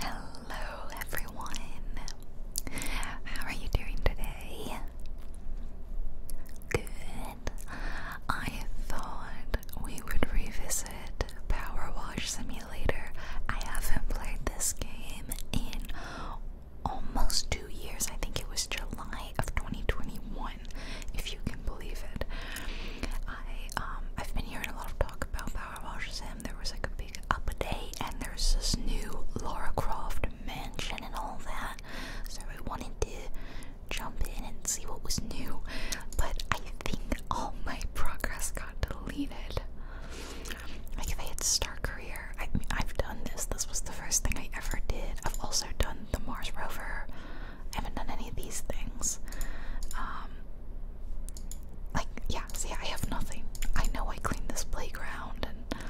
Hello everyone. How are you doing today? Good. I thought we would revisit Power Wash Simulator. I haven't played this game in almost 2 years. I think it was July of 2021 if you can believe it. I um I've been hearing a lot of talk about Power Wash Sim there was like a big update and there's this new Laura Croft mansion and all that. So I wanted to jump in and see what was new, but I think all my progress got deleted. Like if I hit Star Career, I have done this. This was the first thing I ever did. I've also done the Mars rover. I haven't done any of these things. Um, like, yeah, see, I have nothing. I know I cleaned this playground and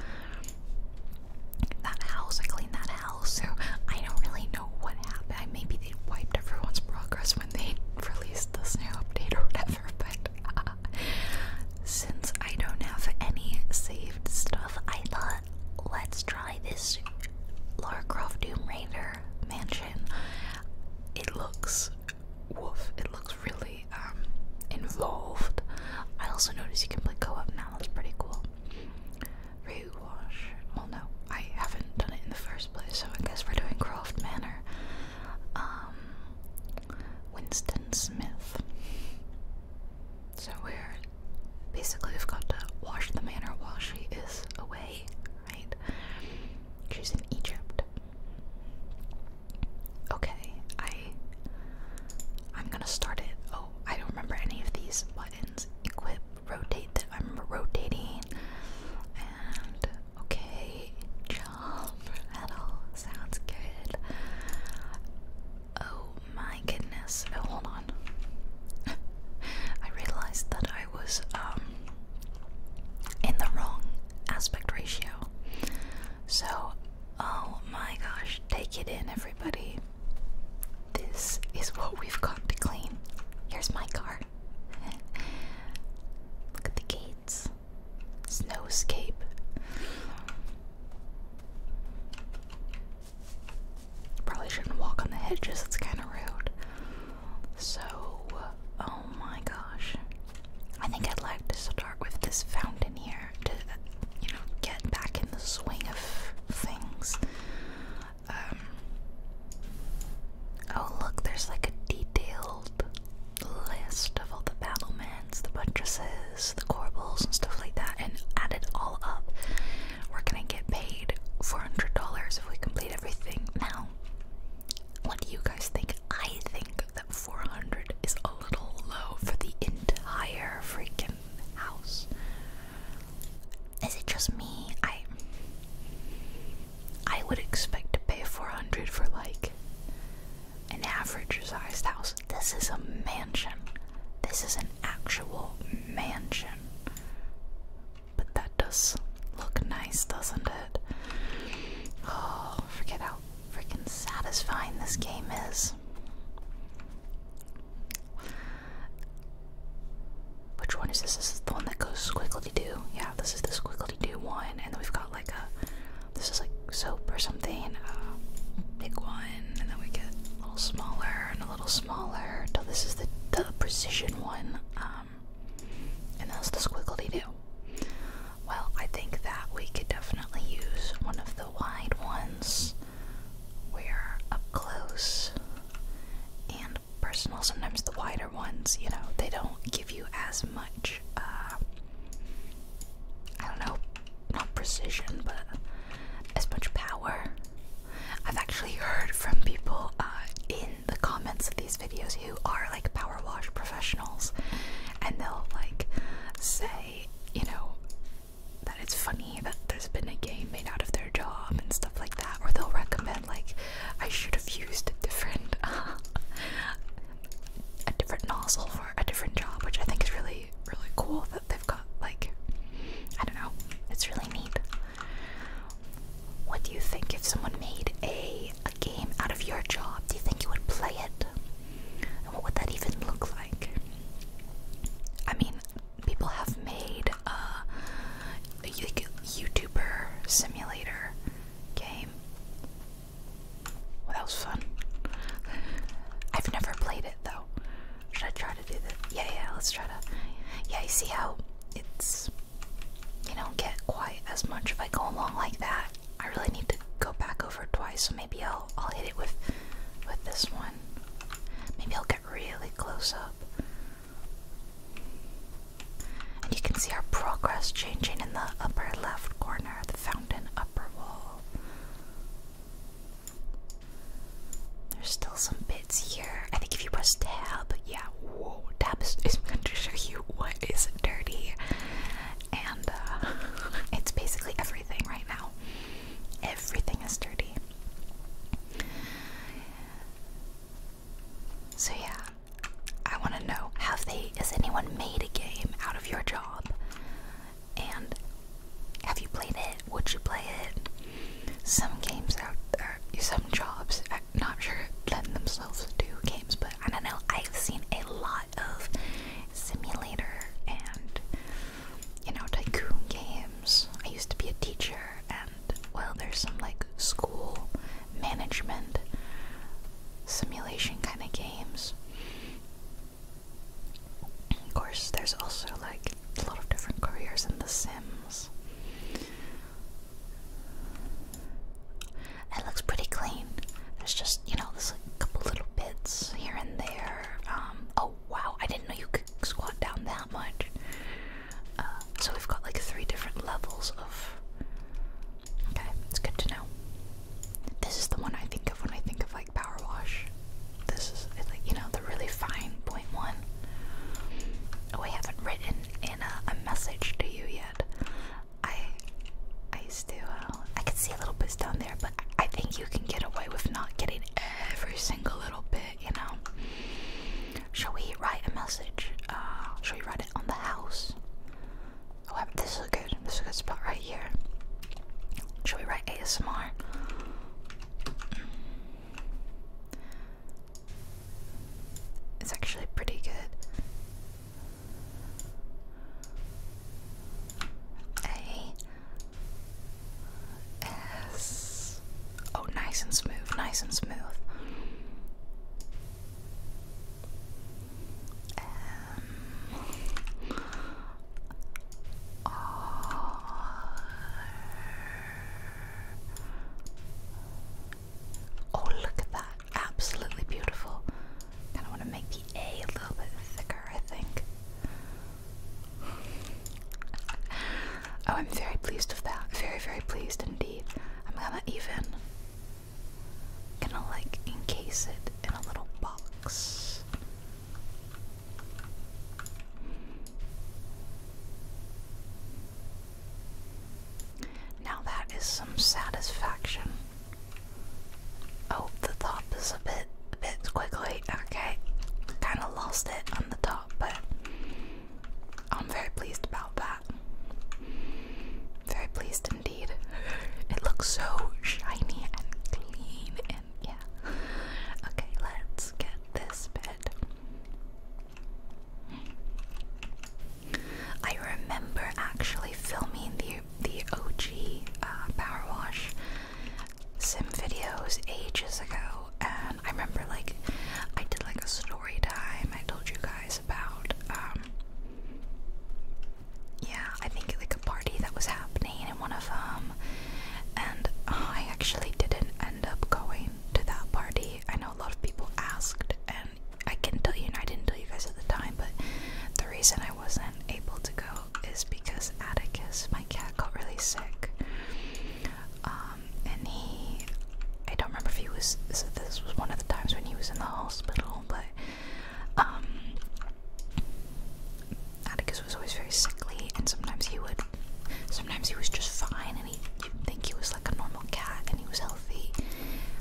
that house, I cleaned that house, so I don't really know what happened. Maybe they wiped everyone's progress when they released the new update or whatever, but uh, since I don't have any saved stuff, I thought let's try this Lara Doom Raider mansion. It looks woof, it looks really um, involved. I also noticed you can play co-op now, that's pretty cool. Rewash. Well, no, I haven't done it in the first place, so I guess we're doing Croft Manor. Um, Winston Smith. So we're basically we've got to wash the manor while she is away, right? She's in Egypt. Okay, I I'm gonna start it. Oh, I don't remember any of these buttons. Equip, rotate that I am rotating and okay, jump at all. Sounds good. Oh my goodness. Oh, hold on. I realized that I was um in the wrong aspect ratio. So, oh my gosh, take it in, everybody. This is what we've got to clean. Here's my car. Look at the gates. Snowscape. Probably shouldn't walk on the hedges, it's kind of rude. So, oh my gosh. I think I'd like to start with this fountain here to, you know, get back in the swing of things. Um, oh, look, there's like a detailed list of all the battlements, the buttresses, the corbels, and stuff like that, and add it all up. We're gonna get paid $400 if we complete everything. Now, what do you guys think? I think that 400 is a little low for the entire freaking house. Is it just me? I I would expect to pay 400 for like an average sized house. This is a mansion. This is an actual mansion. But that does look nice, doesn't it? Oh oh, forget how freaking satisfying this game is. Which one is this? is the one that goes squiggly doo. Yeah, this is the squiggly doo one, and then we've got like a this is like soap or something. Uh, big one, and then we get a little smaller and a little smaller. Till this is the the precision one. Uh, um, and that's the squiggly do. Well, I think that we could definitely use one of the wide ones where up close and personal, sometimes the wider ones, you know, they don't give you as much, uh, I don't know, not precision, but as much power. I've actually heard from people uh, in the comments of these videos who are like power wash professionals and they'll like say, you know, that it's funny that there's been a game made out of their job and stuff like that, or they'll recommend like I should have used a different a different nozzle for a different job, which I think is really really cool that they've got like I don't know, it's really neat. What do you think if someone made a a game out of your job, do you think you would play it? And what would that even look like? I mean, people have made a uh, YouTuber simulator game. Well, that was fun. I've never played it though. Should I try to do that? Yeah, yeah, let's try to. Yeah, you see how it's. You don't get quite as much if I go along like that. I really need to go back over twice, so maybe I'll I'll hit it with with this one. Maybe I'll get really close up. And you can see our progress changing in the upper left corner, the fountain upper wall. There's still some bits here. I think if you press tab, yeah, whoa, tab is, going to show you what is dirty. And uh, it's basically everything right now. Everything is dirty. So, yeah, I want to know have they, has anyone made a game out of your job? And have you played it? Would you play it? Some games are, some jobs, not sure, lend themselves to games, but I don't know. I've seen a lot of simulator and you know tycoon games. I used to be a teacher, and well, there's some like school management simulation kind of games. Of course, there's also like a lot of different careers in The Sims. It looks pretty clean. There's just, you know, there's like a couple little bits here and there. Um, oh wow, I didn't know you could squat down that much. Uh, so we've got like three different levels of. Okay, it's good to know. This is the one I think of when I think of like power wash. This is like you know the really fine point one. Oh, I haven't written in a message to you yet. I I still I can see a little bit down there, but I think you can get away with not getting every single little bit, you know. Shall we write a message? Uh, shall we write it on the house? Oh, this is good, this is a good spot right here. Shall we write ASMR? It's actually pretty good. A S. Oh, nice and smooth, nice and smooth. Um, R. Oh, look at that absolutely beautiful. Kind of want to make the A a little bit thicker, I think. Oh, I'm very pleased with that. Very, very pleased indeed. I'm gonna even gonna like encase it in a little box. Now that is some satisfaction. Oh, the top is a bit, bit squiggly. Okay, kind of lost it on the top, but I'm very pleased about that. Very pleased indeed. It looks so shiny and clean, and yeah. Okay, let's get this bit. I remember actually filming the the OG uh, power wash sim videos ages ago, and I remember like I did like a story time. I told you guys about um yeah, I think like a party that was happening in one of um, and I actually didn't end up going to that party. I know a lot of people asked, and I can tell you, and I didn't tell you guys at the time, but the reason I wasn't able to go is because Atticus, my cat, got really sick. Um, and he, I don't remember if he was, this was one of the times when he was in the hospital, but um, Atticus was always very sickly, and sometimes he would, sometimes he was just fine, and he, you'd think he was like a normal cat, and he was healthy,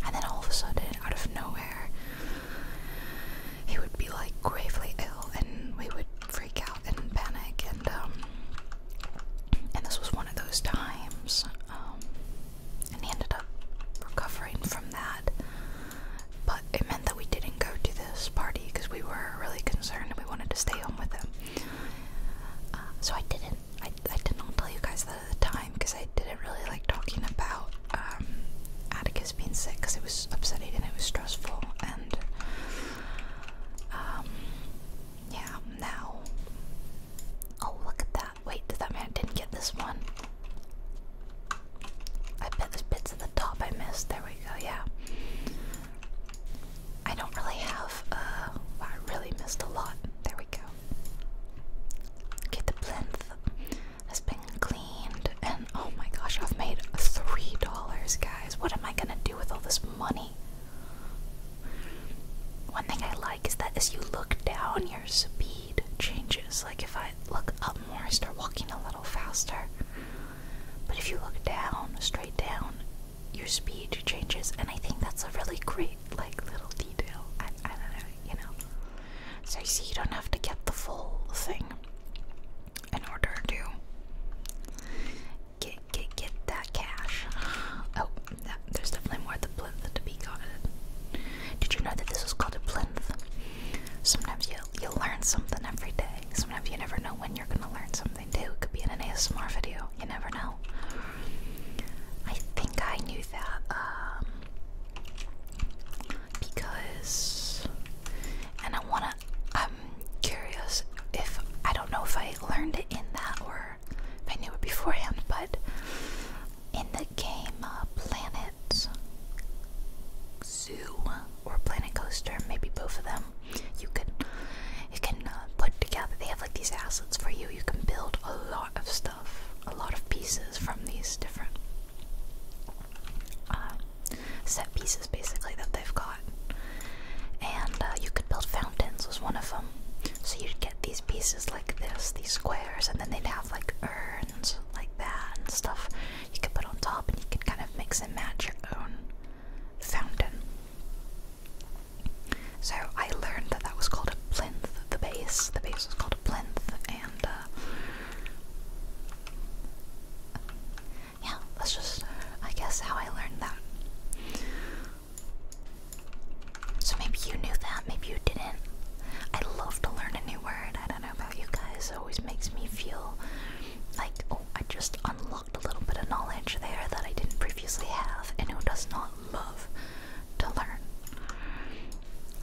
and then all of a sudden, out of nowhere, he would be like gravely ill and we would freak out and panic and um and this was one of those times um, and he ended up recovering from that but it meant that we didn't go to this party because we were really concerned and we wanted to stay home with him uh, so I didn't I, I did not tell you guys that at the time because I didn't really like talking about um, Atticus being sick because it was upsetting and it was stressful. And um, yeah, now. Oh, look at that. Wait, that man didn't get this one? I bet there's bits at the top I missed. There we go, yeah. I don't really have, uh, I really missed a lot. There we go. Get the plinth has been cleaned, and oh my gosh, I've made three dollars, guys. What am I gonna do with all this money? One thing I like is that as you look down, your speed changes. Like if I look up more, I start walking a little faster. But if you look down, straight down, your speed changes, and I think that's a really great, like, little detail. I, you know. So you see, you don't have to get the full thing in order to get get get that cash. Oh, that, there's definitely more to be gotten. Did you know that this is called a plinth? Sometimes you you learn something every day. Sometimes you never know when you're gonna learn something new. It could be in an ASMR video. You never know. I think I knew that. Um, because and I wanna I'm curious if I don't know if I learned it in that or if I knew it beforehand, but in the game uh, Planet Zoo or Planet Coaster, maybe both of them, you can you can uh, put together. They have like these assets for you. You can build a lot of stuff a lot of pieces from these different uh, set pieces basically that they've got. And uh, you could build fountains, was one of them. So you'd get these pieces like this, these squares, and then they'd have like urns like that and stuff you could put on top, and you could kind of mix and match your own fountain. So I learned that that was called a plinth, the base. The base was called a plinth, and uh, yeah, that's just, I guess, how I learned that. So maybe you knew that, maybe you didn't. I love to learn a new word. I don't know about you guys. It always makes me feel like, oh, I just unlocked a little bit of knowledge there that I didn't previously have. And who does not love to learn?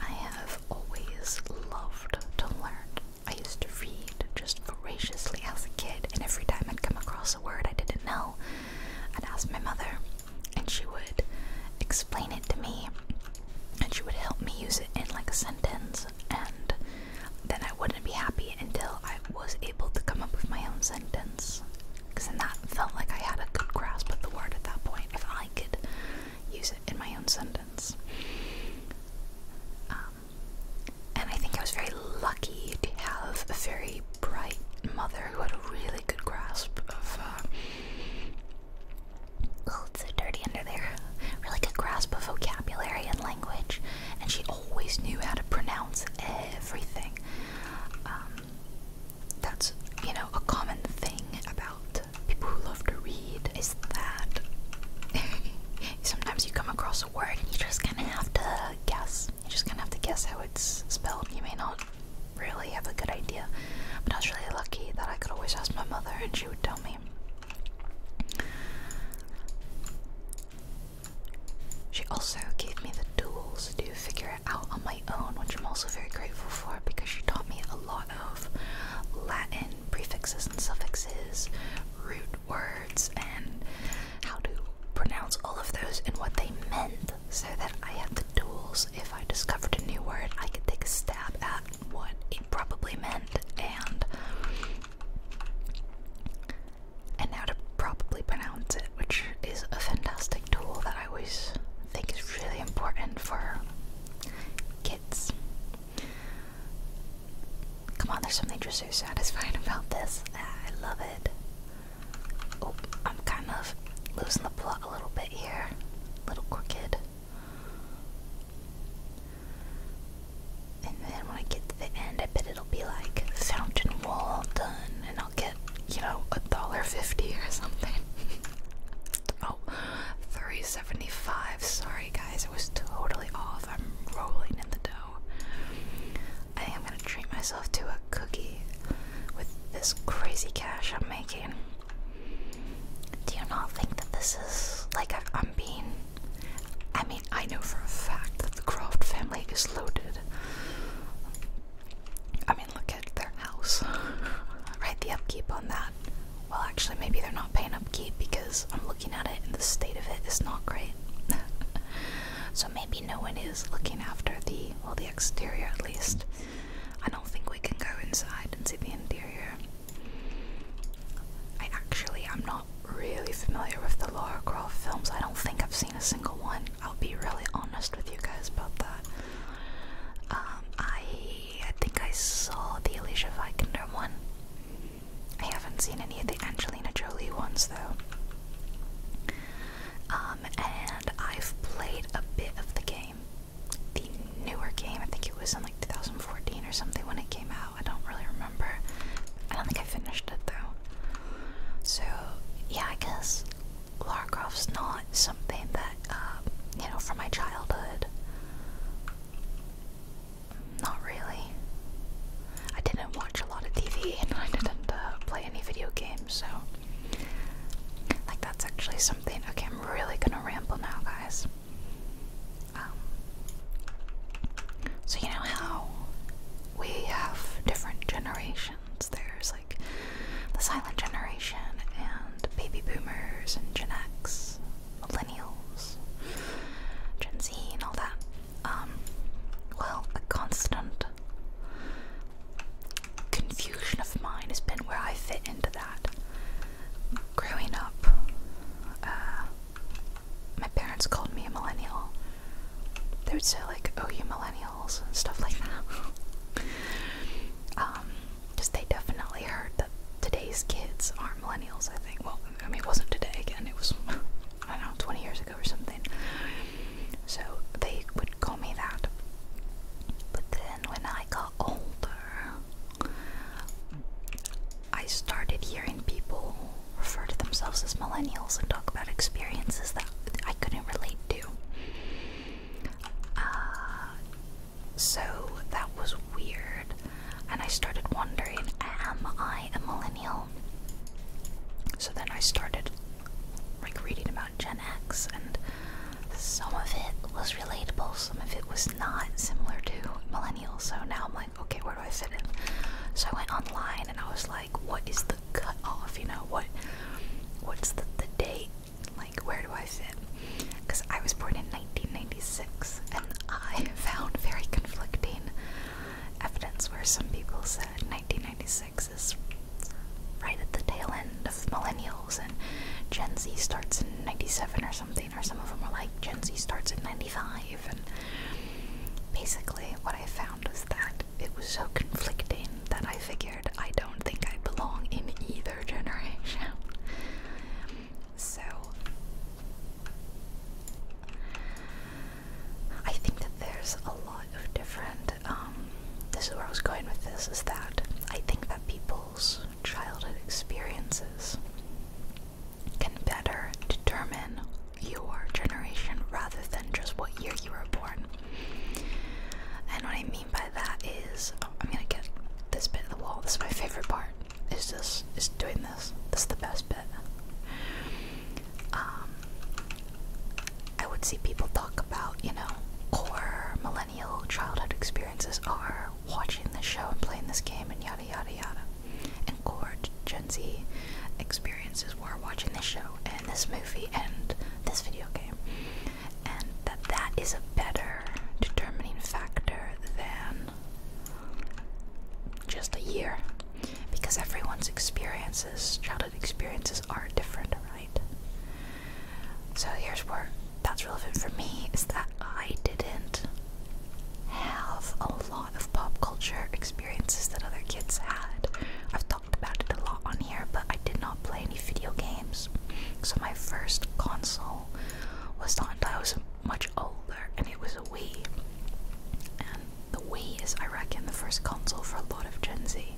I have always loved to learn. I used to read just voraciously as a kid, and every time I'd come across a word I didn't know, I'd ask my mother, and she would explain it to me, and she would help me use it in like a sentence, and then I wouldn't be happy until I was able to come up with my own sentence. Because then that felt like I had a good grasp of the word at that point. If I could use it in my own sentence. Um, and I think I was very lucky to have a very bright mother who had a really good grasp of. oh, it's so dirty under there. Really good grasp of vocabulary and language, and she always knew how to pronounce everything. Um, that's you know a common thing about people who love to read is that sometimes you come across a word and you just kind of have to guess. You just kind of have to guess how it's spelled. You may not really have a good idea, but I was really lucky that I could always ask my mother and she would tell me. She also gave me the tools to figure it out on my own, which I'm also very grateful for because she taught me a lot of Latin prefixes and suffixes, root words, and how to pronounce all of those and what they meant so that I had the tools if I discovered a new word I could take a stab at what it probably meant and and how to probably pronounce it which is a fantastic tool that I always think is really important for kids Come on, there's something just so satisfying about this. Ah, I love it. Oh, I'm kind of losing the plot a little bit here. A little crooked. And then when I get to the end, I bet it'll be like fountain wall done, and I'll get, you know, a dollar fifty or something. oh, 375. Sorry, guys, It was totally off. I'm rolling in the dough. I think I'm gonna treat myself to a cookie with this crazy cash I'm making. Do you not think that this is like I'm being? I mean, I know for a fact that the Croft family is loaded. I mean, look at their house. right, the upkeep on that well, actually, maybe they're not paying upkeep because I'm looking at it and the state of it is not great. so maybe no one is looking after the well, the exterior at least. I don't think we can go inside and see the interior. I actually i am not really familiar with the Laura Croft films. I don't think I've seen a single one. I'll be really honest with you guys about that. Um, I I think I saw the Alicia Vikander one. I haven't seen any of the Angelina Jolie ones though. Um, and I've played a bit of the game. The newer game, I think it was in like 2014 or something when it came out. I don't really remember. I don't think I finished it though. So, yeah, I guess Lara not something that, uh, you know, from my childhood not really. I didn't watch a lot of TV and I didn't uh, play any video games, so like that's actually something. Okay, I'm really gonna ramble now, guys. Um, so you know how we have different generations. There's like the silent generation and baby boomers and Gen X millennials, Gen Z, and all that. Um, well, a constant confusion of mine has been where I fit into that. Growing up, uh, my parents called me a millennial. They would say like, "Oh, you millennials," and stuff like that. Um, because they definitely heard that today's kids aren't millennials, I think. Well, I mean, it wasn't today again, it was, I don't know, 20 years ago or something. So they would call me that. But then when I got older, I started hearing people refer to themselves as millennials and talk about experiences that I couldn't relate to. Uh, so that was weird, and I started wondering am I a millennial? So then I started like reading about Gen X, and some of it was relatable, some of it was not similar to millennials. So now I'm like, okay, where do I fit in? So I went online and I was like, what is the cutoff? You know, what what's the, the date? Like, where do I fit? because I was born in 1996 and I found very conflicting evidence where some people said 1996 is right at the tail end of millennials and Gen Z starts in 97 or something, or some of them are like Gen Z starts in 95. And basically, what I found was that it was so conflicting that I figured I don't think I belong in either generation. So I think that there's a lot of different. Um, this is where I was going with this is that I think that people's childhood experiences can better determine your generation rather than just what year you were born. And what I mean by that is, oh, I'm gonna get this bit of the wall, this is my favorite part is just is doing this. This is the best bit. Um, I would see people talk about, you know, core millennial childhood experiences are watching this show and playing this game and yada yada yada. And core Gen Z experiences were watching this show and this movie and this video game. And that that is a better determining factor than just a year because everyone's experiences, childhood experiences, are different, right? So here's where that's relevant for me is that I didn't have a lot of pop culture experiences that other kids had. I've talked about it a lot on here, but I did not play any video games. So my first console was the Nintendo much older and it was a Wii. And the Wii is, I reckon, the first console for a lot of Gen Z.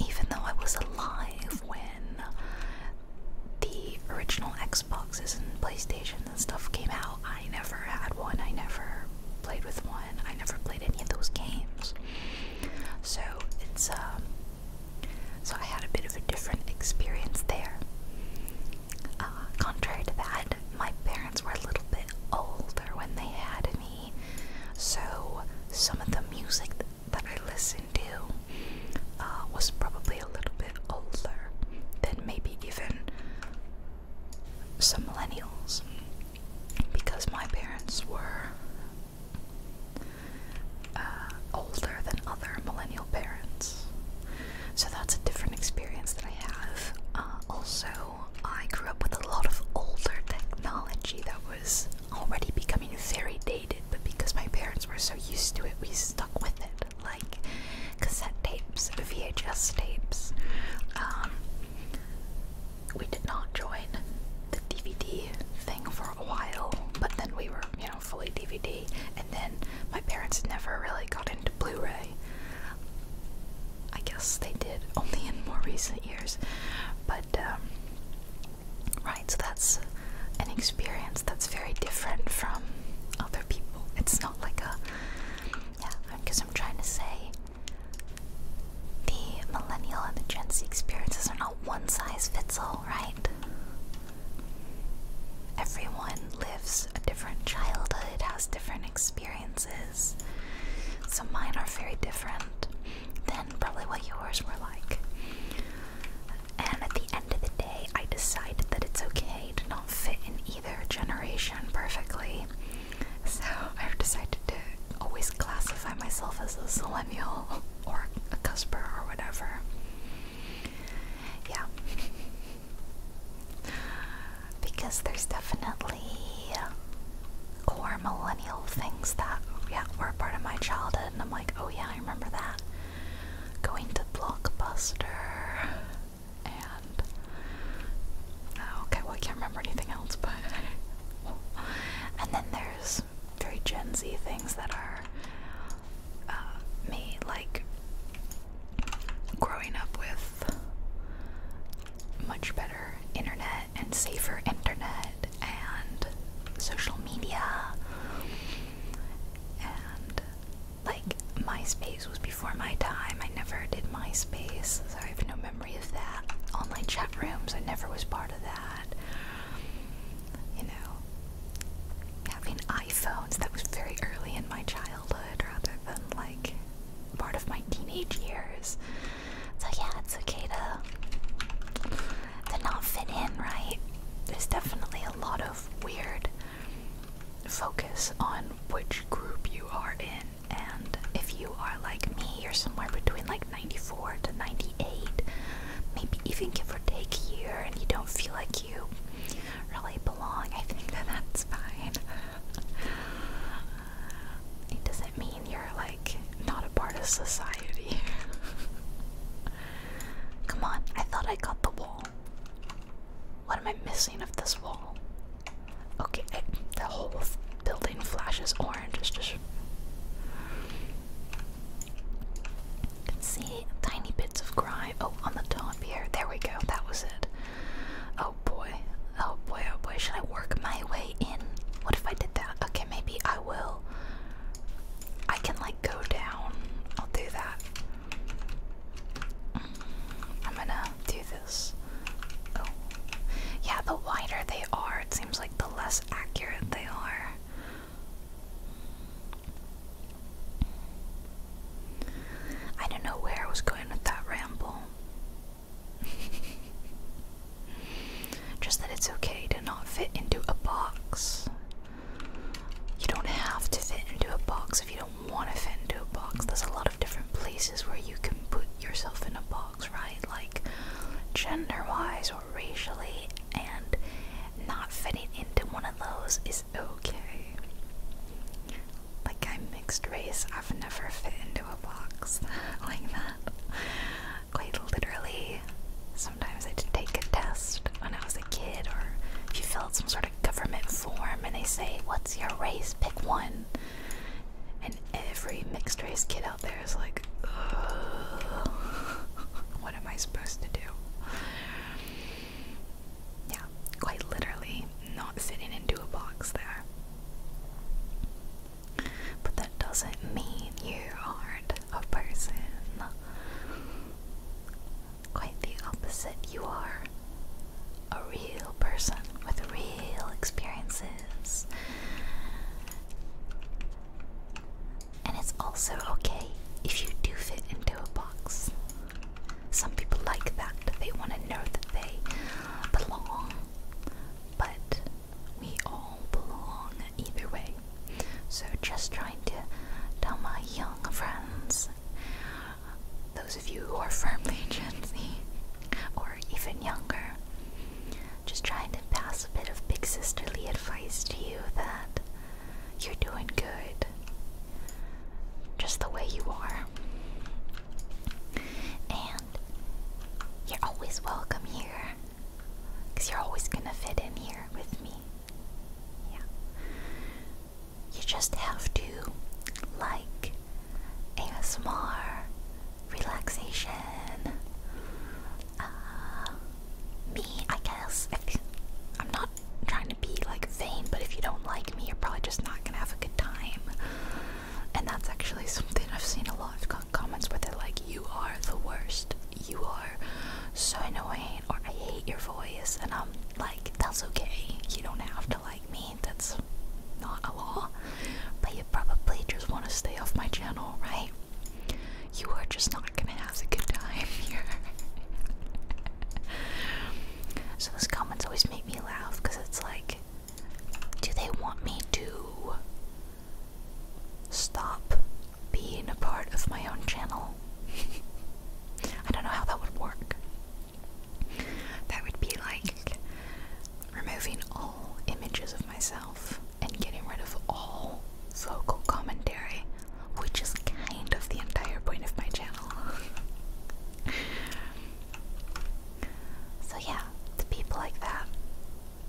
Even though I was alive when the original Xboxes and PlayStations and stuff came out, I never had one. I never played with one. I never played any of those games. So it's um so I had a bit of a different experience there. Uh, contrary to that, my parents were a little bit older when they had me, so some of the music that I listened to uh, was probably a little bit older than maybe even some millennials because my parents were uh, older than other millennial parents. So that's a different experience that I have. Uh, also, I grew up with a lot of older technology that was already becoming very dated, but because my parents were so used to it, we stuck with it. Like cassette tapes, VHS tapes. Um, we did not join the DVD thing for a while, but then we were, you know, fully DVD, and then my parents never really got into Blu ray. I guess they did only in more recent years, but um, right, so that's an experience that's very different from other people. It's not like a yeah, because I'm trying to say the millennial and the Gen Z experiences are not one size fits all, right? Everyone lives a different childhood, has different experiences. So mine are very different than probably what yours were like. And at the end of the day, I decided that it's okay to not fit in either generation perfectly. So I've decided to always classify myself as a millennial or a cusper or whatever. Yeah. Because there's definitely core millennial things that, yeah, were part of my childhood, and I'm like, oh yeah, I remember that. Going to Blockbuster, and oh, okay, well I can't remember anything else, but and then there's very Gen Z things that are uh, me like growing up with much better internet and safer internet and social media and like MySpace was before my time. I never did MySpace, so I have no memory of that. Online chat rooms, I never was part of that. You know, having iPhones, that was very early in my childhood rather than like part of my teenage years. So yeah, it's okay to to not fit in, right? There's definitely a lot of weird focus on which group you are in and if you are like me, you're somewhere between like 94 to 98, maybe even give or take a year and you don't feel like you really belong. I think that that's fine. Um, it doesn't mean you're like not a part of society. Come on, I thought I got the wall. What am I missing of this wall? Okay, eh, the whole building flashes orange. just. You can see tiny bits of grime. Oh, on the top here. There we go. That was it. Oh boy. Oh boy, oh boy. Should I work my way in? What if I did that? Okay, maybe I will. I can like go down. I'll do that. Mm, I'm gonna do this. Oh. Yeah, the wider they are, it seems like the less accurate they are. I don't know where I was going with that ramble. Just that it's okay to not fit into a box. You don't have to fit into a box if you don't want to fit into a box. There's a lot of different places where you can put yourself in a box, right? Like gender wise or racially, and not fitting into one of those is okay. Like, I'm mixed race, I've never fit into a box like that. Quite literally, sometimes I would take a test when I was a kid, or if you fill out some sort of government form and they say, What's your race? Pick one. And every mixed race kid out there is like, What am I supposed to do? Yeah, quite literally, not fitting into a box there. But that doesn't mean you aren't a person. Quite the opposite, you are a real person with real experiences. And it's also okay if you do fit into a box. Some people like that. They want to know that they belong. But we all belong either way. So just trying to tell my young friends, those of you who are firmly Gen Z or even younger, just trying to pass a bit of big sisterly advice to you that you're doing good just the way you are. And you're always welcome here because you're always gonna fit in here with me. Yeah. You just have to like ASMR, relaxation, uh, me, I guess. I'm not trying to be like vain, but if you don't like me, you're probably just not gonna have a good time. And that's actually something I've seen a lot. of comments where they're like, "You are the worst. You are so annoying," or "I hate your voice," and I'm like, "That's okay. You don't have to like me. That's not a law. But you probably just want to stay off my channel, right? You are just not gonna have a good time here." So those comments always make me laugh because it's like, do they want me to stop being a part of my own channel? I don't know how that would work. That would be like removing all images of myself and getting rid of all vocal commentary, which is kind of the entire point of my channel. So yeah, the people like that.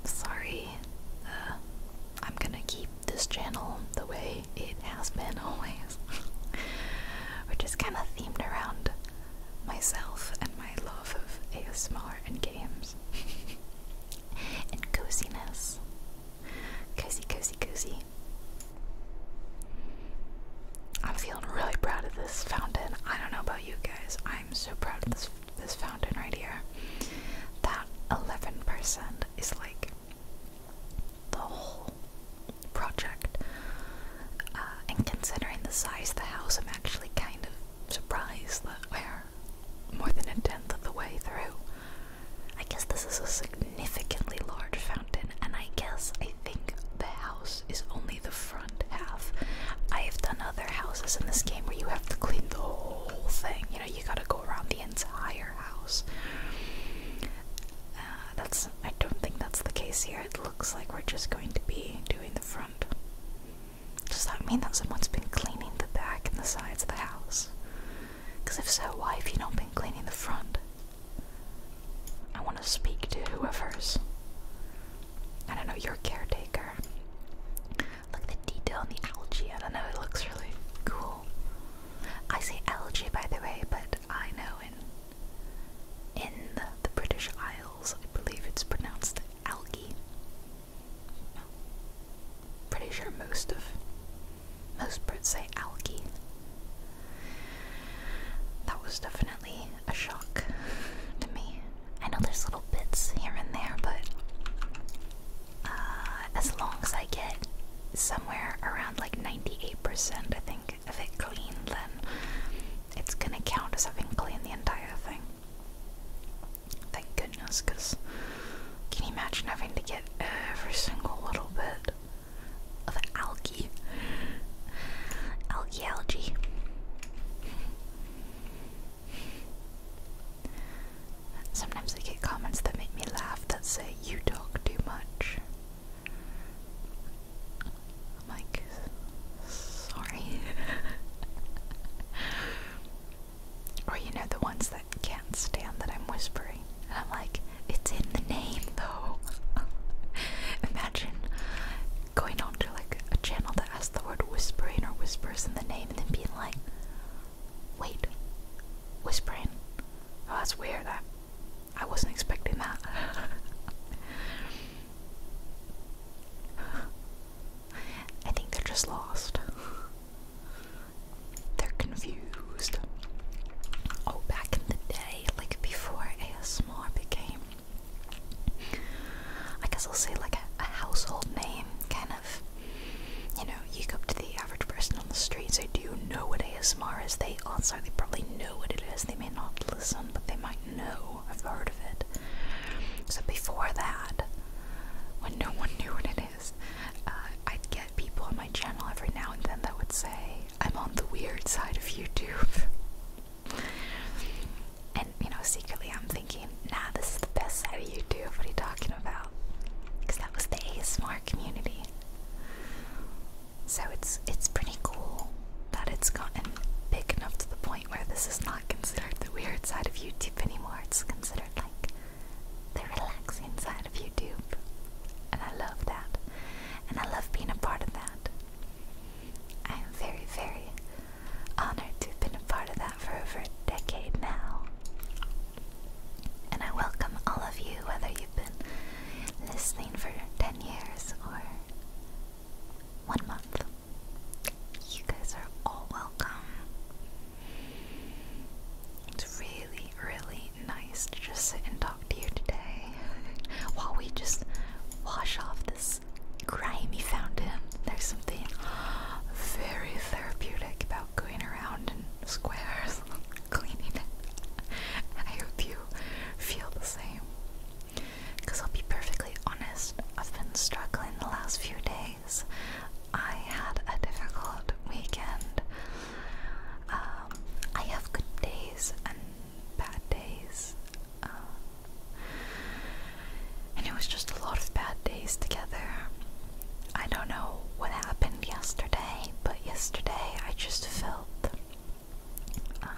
Sorry, uh, I'm gonna keep this channel the way it has been always, which is kind of themed around myself and my love of ASMR and games and coziness. Cozy, cozy, cozy. I'm feeling really proud of this fountain. I don't know about you guys. I'm so proud of this this fountain right here. That 11% is like the whole project. Uh, and considering the size of the house, I'm actually kind of surprised that we're more than a tenth of the way through. I guess this is a significantly large fountain, and I guess I think the house is only the front half. I have done other houses in this game where you have to clean the whole thing. You know, you gotta go around the entire house. Uh, that's. I don't think that's the case here. It looks like we're just going to be doing the front. Does that mean that someone's been cleaning the back and the sides of the house? Because if so, why have you not been cleaning the front? I want to speak to whoever's. I don't know, your caretaker. Look at the detail in the algae. I don't know, it looks really cool. I say algae, by the way, but I know in in the, the British Isles, I believe it's pronounced algae. Pretty sure most of most Brits say algae. That was definitely a shock to me. I know there's little bits here and there, but uh, as long as I get somewhere around like 98%, I think, if it clean, then it's gonna count as having cleaned the entire thing. Thank goodness, because can you imagine having to get every single little bit? of algae. Algae, algae. Sometimes I get comments that make me laugh that say, You talk too much. I'm like, sorry. or you know, the ones that can't stand that I'm whispering. I'm like, It's in the name dream Imagine going on like a channel that has the word whispering or whispers in the name and then being like, wait, whispering. Oh, that's weird. I, I wasn't expecting that. I think they're just lost. They're confused. Oh, back in the day, like before ASMR became I guess I'll say like a, household name, kind of. You know, you go up to the average person on the street, say, Do you know what ASMR is? They also oh, they probably know what it is. They may not listen, but they might know. I've heard of it. So before that, when no one knew what it is, uh, I'd get people on my channel every now and then that would say, I'm on the weird side of YouTube. And you know, secretly I'm thinking, nah, this is the best side of YouTube. What are you talking about? Because that was the ASMR community. So it's it's pretty cool that it's gotten big enough to the point where this is not considered the weird side of YouTube anymore. It's considered like the relaxing side of YouTube. And I love that. And I love being a part of that. I am very, very honored to have been a part of that for over a decade now. And I welcome all of you, whether you've been listening for 10 years or one month. You guys are all welcome. It's really, really nice to just sit and talk talk to you today while we just wash off this grimy fountain. There's something very therapeutic about going around in squares cleaning it. And I hope you feel the same. Because I'll be perfectly honest, I've been struggling the last few days. I had a difficult weekend. Um, I have good days and bad days. Um, and it was just a lot of bad days together. I don't know what happened yesterday, but yesterday I just felt um,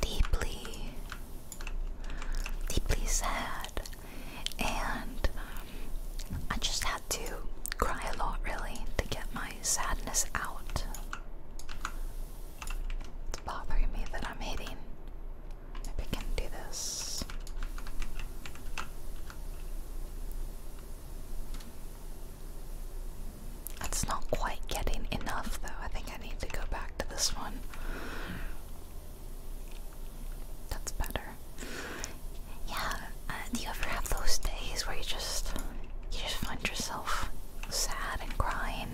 deeply, deeply sad. And I just had to cry a lot, really, to get my sadness out. It's bothering me that I'm hitting. Maybe can do this. It's not quite getting enough, though. I think I need to go back to this one. That's better. Yeah. Uh, do you ever have those days where you just you just find yourself sad and crying,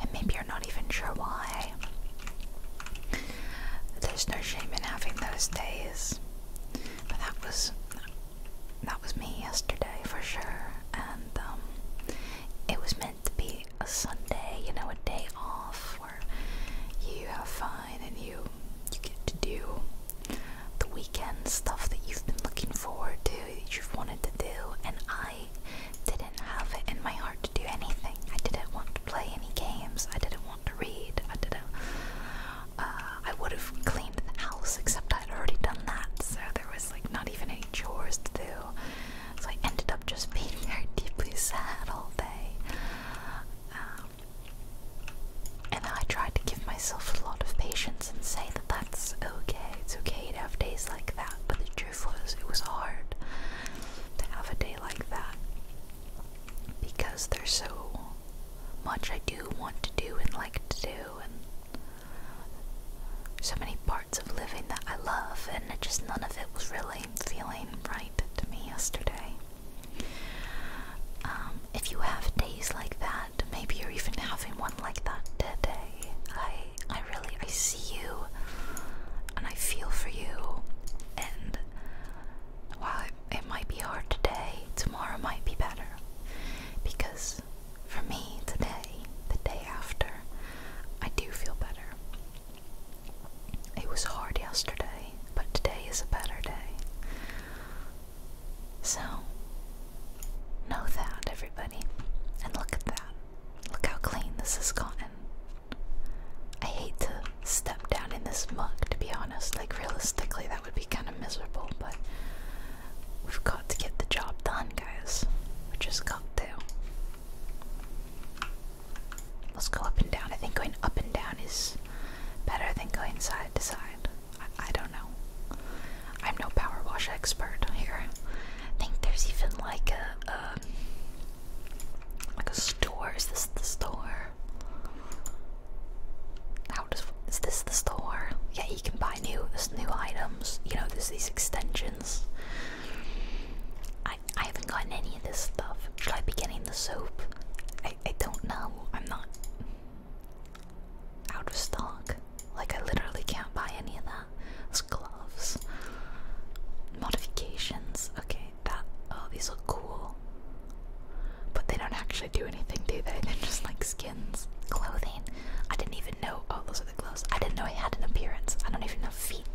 and maybe you're not even sure why. There's no shame in having those days, but that was that was me yesterday for sure, and um, it was meant to be a Sunday, you know, a day off where you have fun and you you get to do the weekend stuff that you've been looking forward to that you've wanted to do, and I didn't have it in my heart to do anything. I didn't want to play any games. I didn't want to read. I didn't. Uh, I would have cleaned the house, except I'd already done that, so there was like not even any chores to do. So I ended up just being very deeply sad all day. Um, and I tried to give myself a lot of patience and say that that's okay. It's okay to have days like that, but the truth it was hard to have a day like that because there's so much I do want to do and like to do, and so many parts of living that I love, and just none of it was really feeling right to me yesterday. Um, if you have days like that, maybe you're even having one like that today. I I really I see you and I feel for you and while it might be hard today, tomorrow might be better. Because for me today, the day after, I do feel better. It was hard yesterday, but today is a better day. So know that everybody and look at that. Look how clean this has gotten. I hate to step down in this muck, to be honest. Like, realistically, that would be kind of miserable, but we've got to get the job done, guys. We just got Let's go up and down. I think going up and down is better than going side to side. I don't know. I'm no power wash expert here. I think there's even like a um, like a store. Is this the store? How does is this the store? Yeah, you can buy new there's new items. You know, there's these extensions. I I haven't gotten any of this stuff. Should I be getting the soap? I I don't know. I'm not out of stock. Like I literally can't buy any of that. Those gloves. Modifications. Okay, that oh these look cool. But they don't actually do anything, do they? They're just like skins. Clothing. I didn't even know oh those are the gloves. I didn't know I had an appearance. I don't even have feet.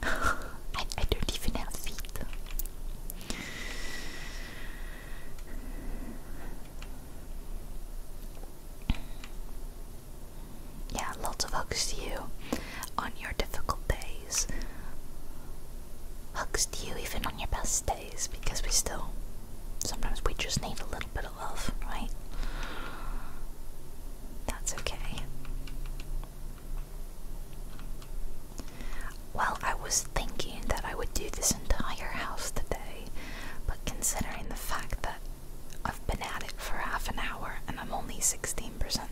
I, I don't even have feet. Yeah, lots of hugs to you on your difficult days. Hugs to you even on your best days because we still sometimes we just need a little bit of love, right? That's okay. Well, I was thinking that I would do this entire house today, but considering the fact that I've been at it for half an hour and I'm only 16%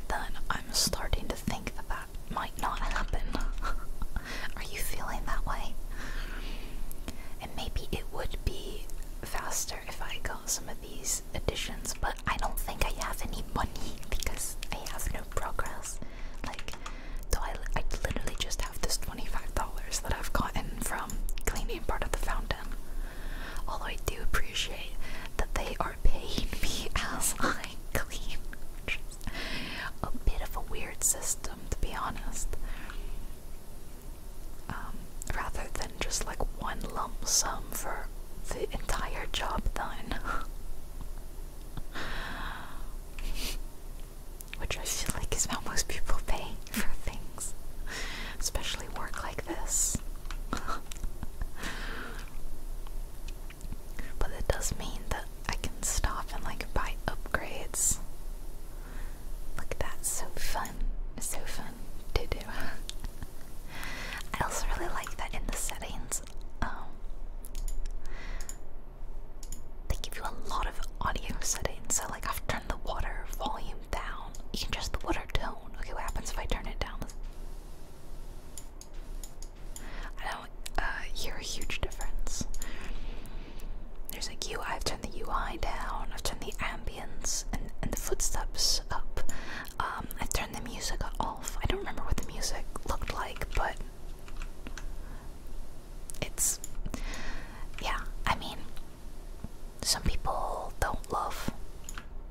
done. I'm starting to think that that might not happen. Are you feeling that way? And maybe it would be faster if I got some of these additions, but I don't think I have any money because I have no progress. Like, do I, I literally just have this $25 that I've gotten from cleaning part of the fountain Although I do appreciate that they are paying me as I clean. Just a bit of a weird system, to be honest. Um, rather than just like one lump sum for the entire job done. Which I feel like is how most people pay for things, especially work like this. but it does mean that I can stop and like buy upgrades. Look, that's so fun. so fun to do. I also really like that in the settings, um, they give you a lot of audio settings. So, like, I've turned the water volume down. You can adjust the water tone down. Okay, what happens if I turn it down? I don't uh, hear a huge difference. There's like U. i I've turned the UI down. I've turned the ambience and, and the footsteps up. Um, i turned the music off. I don't remember what the music looked like, but it's yeah. I mean, some people don't love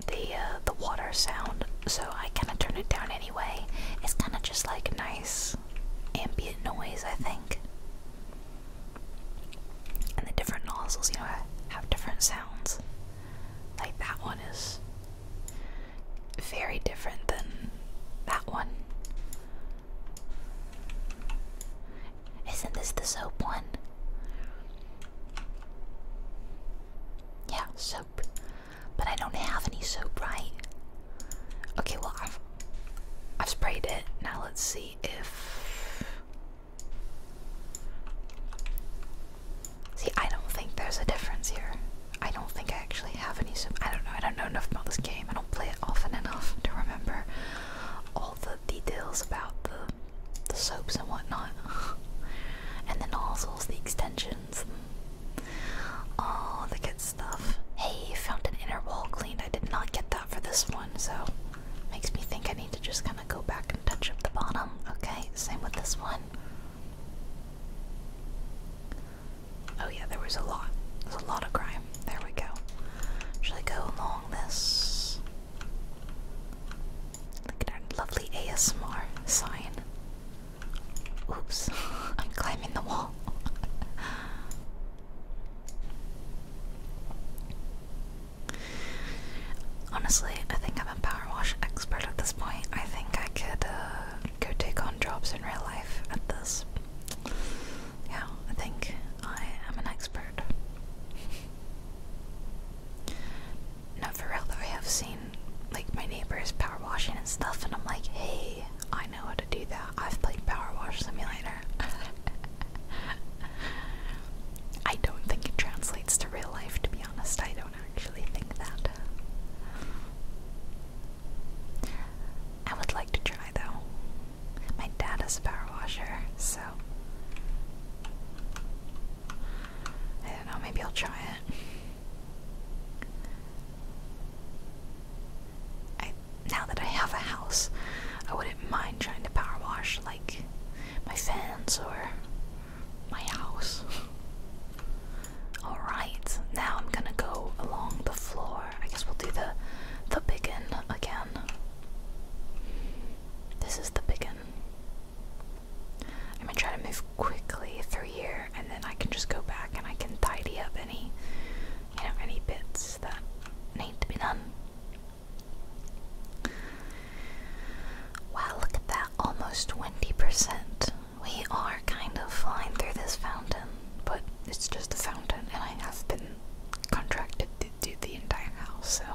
the uh, the water sound, so I kind of turn it down anyway. It's kind of just like nice ambient noise, I think. And the different nozzles, you know, have different sounds. Like that one is very different than that one. Isn't this the soap one? Yeah, soap. But I don't have any soap, right? Okay, well, I've, I've sprayed it. Now let's see if. See, I don't think there's a difference here. I don't think I actually have any soap. I don't know. I don't know enough about this game. I don't play it often enough to remember all the details about the the soaps and whatnot, and the nozzles, the extensions, all the good stuff. Hey, found an inner wall cleaned. I did not get that for this one, so makes me think I need to just kind of go back and touch up the bottom. Okay, same with this one. Oh yeah, there was a lot. There's a lot of crime. There we go. Should I go along this? Look at our lovely ASMR sign. Oops, I'm climbing the wall. Honestly, I think I'm a power wash expert at this point. I think I could uh, go take on jobs in real life at this. Yeah, I think I am an expert. No, for real though, I have seen like my neighbors power washing and stuff, and I'm like, hey, I know how to do that. I've played Power Wash Simulator. I don't think it translates to real life, to be honest. I don't actually think that. I would like to try though. My dad is a power washer, so I don't know, maybe I'll try it. now that I have a house, I wouldn't mind trying to power wash like my fans or my house. Alright, now I'm gonna go along the floor. I guess we'll do the the biggin again. This is the biggin. I'm gonna try to move quickly through here, and then I can just go back and I can tidy up any, you know, any bits that need to be done. Wow, look at that, almost 20%. We are kind of flying through this fountain, but it's just a fountain, and I have been contracted to do the entire house, so.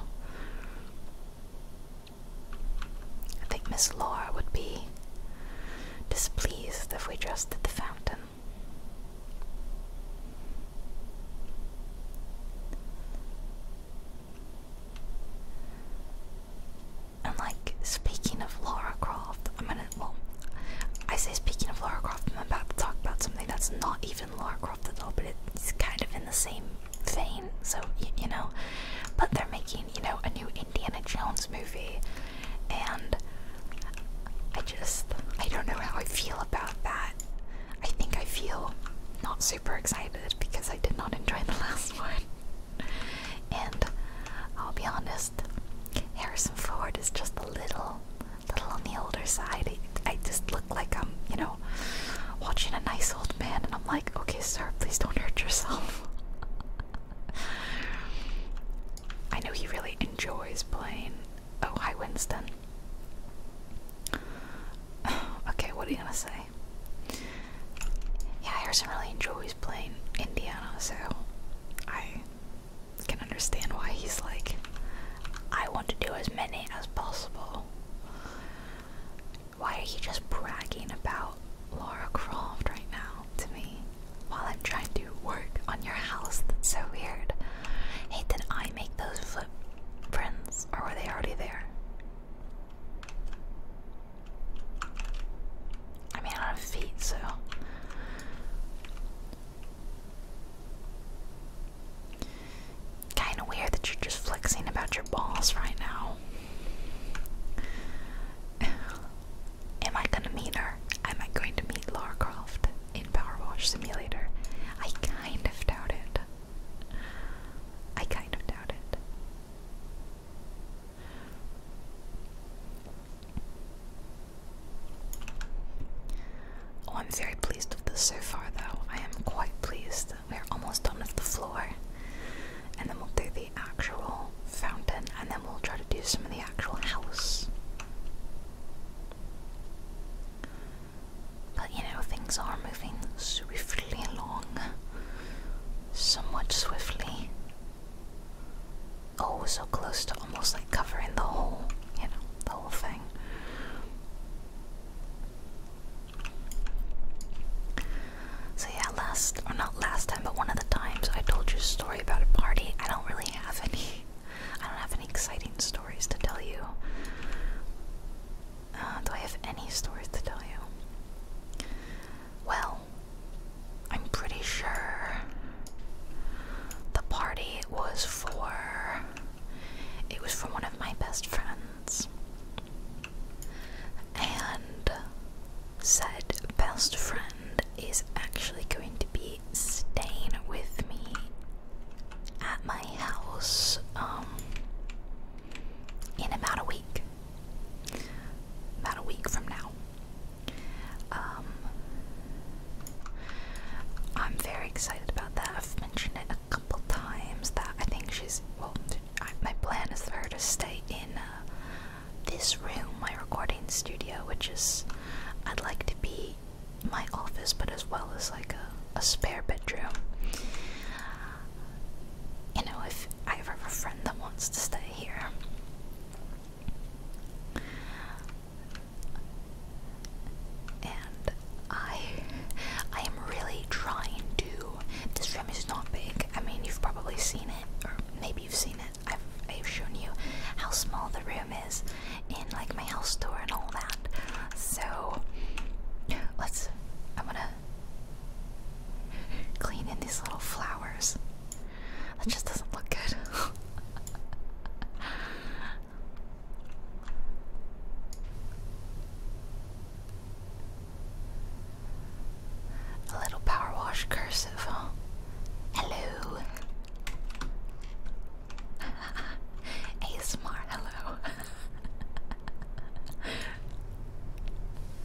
I think Miss Laura would be displeased if we just did the fountain. And like speaking of Laura Croft, I'm gonna well I say speaking of Laura Croft, I'm about to talk about something that's not even Laura Croft at all, but it's kind of in the same Thing so you know. But they're making, you know, a new Indiana Jones movie, and I just, I don't know how I feel about that. I think I feel not super excited because I did not enjoy the last one. And I'll be honest, Harrison Ford is just a little, little on the older side. I, I just like I'm, you know, watching a nice old man, and I'm like, okay, sir, please don't hurt yourself. I know he really enjoys playing. Oh, hi, Winston. okay, what are you gonna say? Yeah, Harrison really enjoys playing Indiana, so I can understand why he's like, I want to do as many as possible. Why are you just bragging about Laura Croft right now to me while I'm trying to work on your house? That's so weird. Hey, did I make those footprints or were they already there? I mean, I have feet, so. Kinda weird that you're just flexing about your balls right now. Am I gonna meet her? Am I going to meet Lara in Power Wash Simulator? I kind of doubt it. I kind of doubt it. Oh, I'm very pleased with this so far, though. I am quite pleased. We're almost done with the floor. And then we'll do the actual fountain, and then we'll try to do some of the actual house. But you know, things are moving swiftly along. Somewhat swiftly. Oh, so close to almost like covering the whole, you know, the whole thing. So yeah, last or not last time, but one of the times I told you a story about a party. I don't really have any. I don't have any exciting stories to tell you. Uh, do I have any stories to tell you? Well, I'm pretty sure the party was for. It was for one of my best friends and said best friend is actually going to be staying with me at my house um, in about a week about a week from now um, I'm very excited about that I've mentioned it couple times that I think she's. Well, my plan is for her to stay in uh, this room, my recording studio, which is. I'd like to be my office, but as well as like a, a spare bedroom. You know, if I ever have a friend that wants to stay here. And I I am really trying to this room is not big. I mean, you've probably seen it, or maybe you've seen it. I've I've shown you how small the room is in like my house tour and all that. So let's. I'm gonna clean in these little flowers. That just doesn't look good. A little power wash cursive, huh? Hello. A smart hello.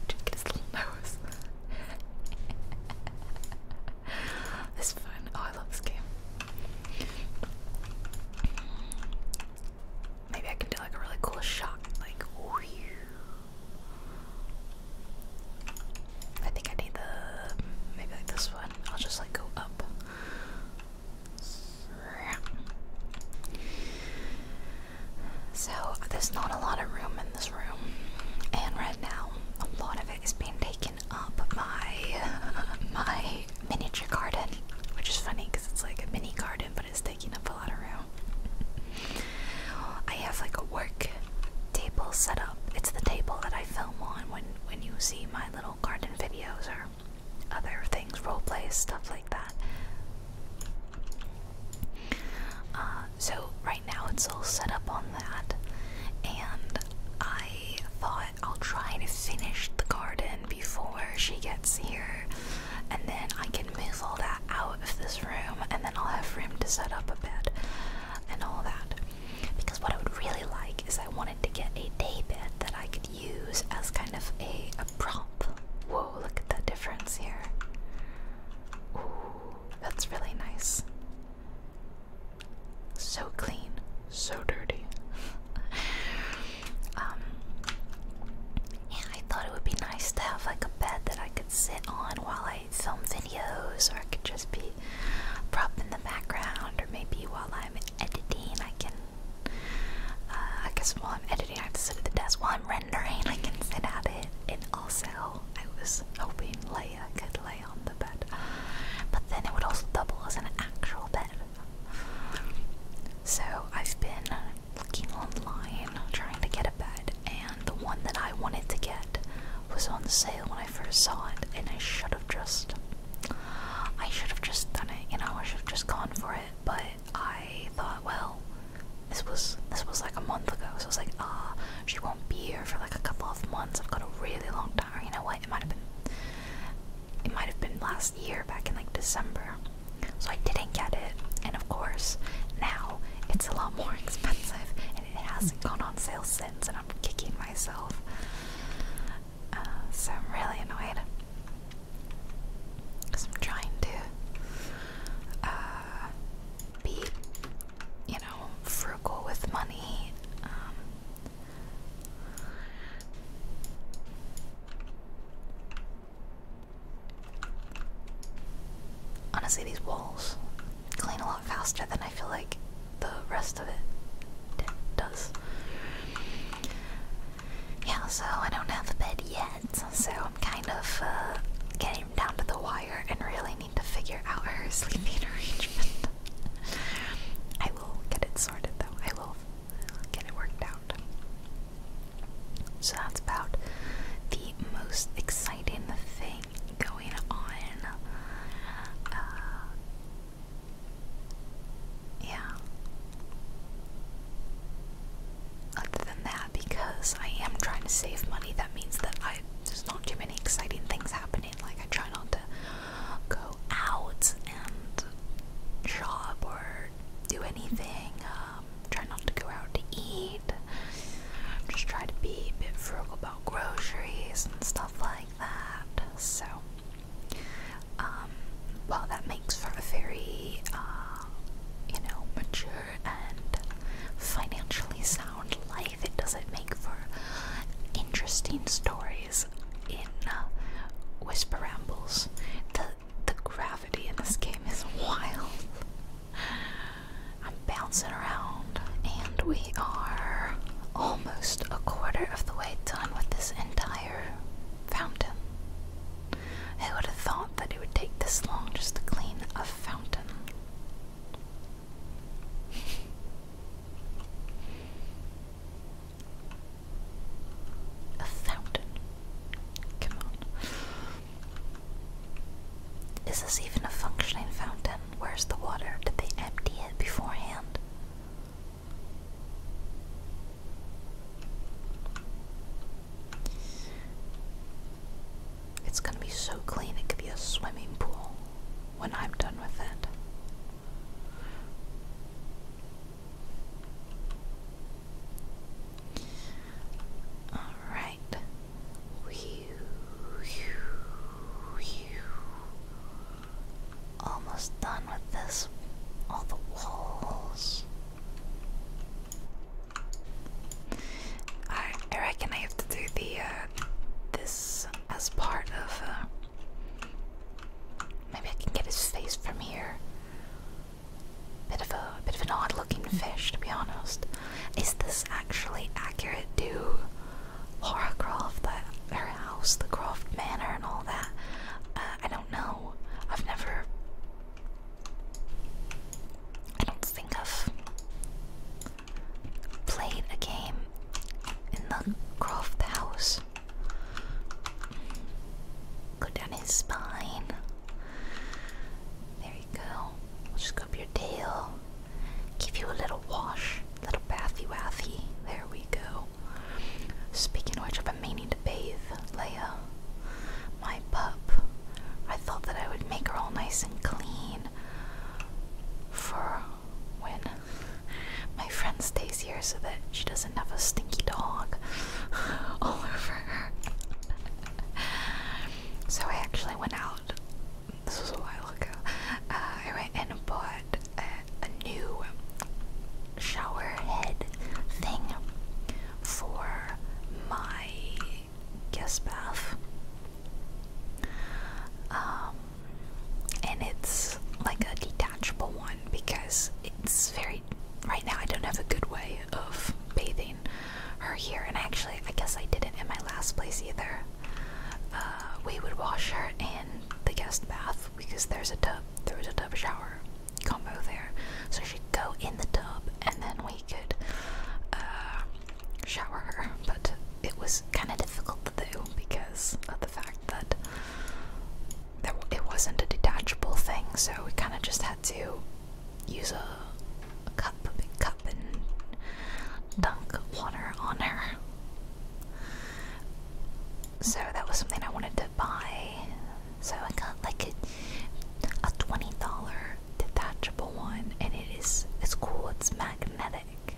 Just get his little nose. this is fun. Oh, I love this game. Maybe I can do like a really cool shot, like. I think I need the maybe this one. I'll just like go up. So there's not a lot of room in this room, and right now a lot of it is being taken up by my miniature garden, which is funny because it's like a mini garden, it's taking up a lot of room. I have like a work table set up. It's the table that I film on when when you see my little garden videos or other things, role plays, stuff like that. Uh, so right now it's all set up on that, and I thought I'll try to finish the garden before she gets here and then I can move all that out of this room, and then I'll have room to set up a bed and all that. Because what I would really like is I wanted to get a day bed that I could use as kind of a, a prop. Whoa, look at the difference here. Ooh, that's really nice. So clean, so dirty. Um, yeah, I thought it would be nice to have like a bed that I could sit on while I film videos, or I could just be prop in the background, or maybe while I'm editing, I can. Uh, I guess while I'm editing, I have to sit at the desk. While I'm rendering, I can sit at it. And also, I was hoping Leia could lay on the bed, but then it would also double as an actual bed. So I've been looking online trying to get a bed, and the one that I wanted to get was on sale when I first saw it, and I should have just, I should have just done it, you know, I should have just gone for it, but I thought, well, this was this was like a month ago, so I was like, ah, she won't be here for like a couple of months. I've got a really long time. You know what? It might have been, it might have been last year, back in like December. So I didn't get it, and of course, now it's a lot more expensive, and it hasn't gone on sale since, and I'm kicking myself. Uh, so I'm really annoyed. Because I'm trying to uh, be, you know, frugal with money. Um, Honestly, these walls clean a lot faster than I feel like the rest of it does. Yeah, so I don't have a bed yet, so I'm kind of uh, getting down to the wire and really need to figure out her sleeping arrangement. I will get it sorted though, I will get it worked out. So that's about the most exciting thing going on. Uh, yeah. Other than that, because I am trying to save money, that means that I there's not too many exciting things happening. Like I try not to go out and shop or do anything. Uh, um, try not to go out to eat, just try to be a bit frugal about groceries and stuff like that. So, um, that makes for a very, uh, you know, mature and financially sound life. It doesn't make for interesting stories in uh, Whisper Rambles. The the gravity in this game is wild. I'm bouncing around, and we are almost a quarter of the way done with this entire fountain. Who would have thought that it would take this long just to clean a fountain? a fountain. Come on. Is this even a functioning fountain? Where's the water? Did they empty it beforehand? It's gonna be so clean, it could be a swimming pool when I'm done with it. All right. Almost done with this. All the walls. I I reckon I have to do the uh, this as part of. Uh, maybe I can get his face from here. Bit of a bit of an odd looking fish to be honest. Is this actually accurate to Horacroft, the, house, the Croft Manor and all that? Uh, I don't know. I've never I don't think I've played a game in the Croft house. Go down his spine. There you go now. will just go up your tail. Give you a little wash. Little bathy wathy. There we go. Speaking of which, I've been meaning to bathe Leia, my pup. I thought that I would make her all nice and clean for when my friend stays here so that she doesn't have a stinky dog all over her. So I actually went out, this was a while ago, uh, I went and bought a, new shower head thing for my guest bath. Um, and it's like a detachable one because it's very, right now I don't have a good way of bathing her here. And actually, I guess I didn't in my last place either. Uh, we would wash her in the guest bath because there's a tub, there was a tub shower combo there. So she'd go in the tub and then we could uh, shower her. But it was kind of difficult to do because of the fact that it wasn't a detachable thing, so we kind of just had to use a a cup, big cup, and dunk water on her. So that was something I wanted to buy. So I got like a, a twenty dollar detachable one, and it is it's cool. It's magnetic.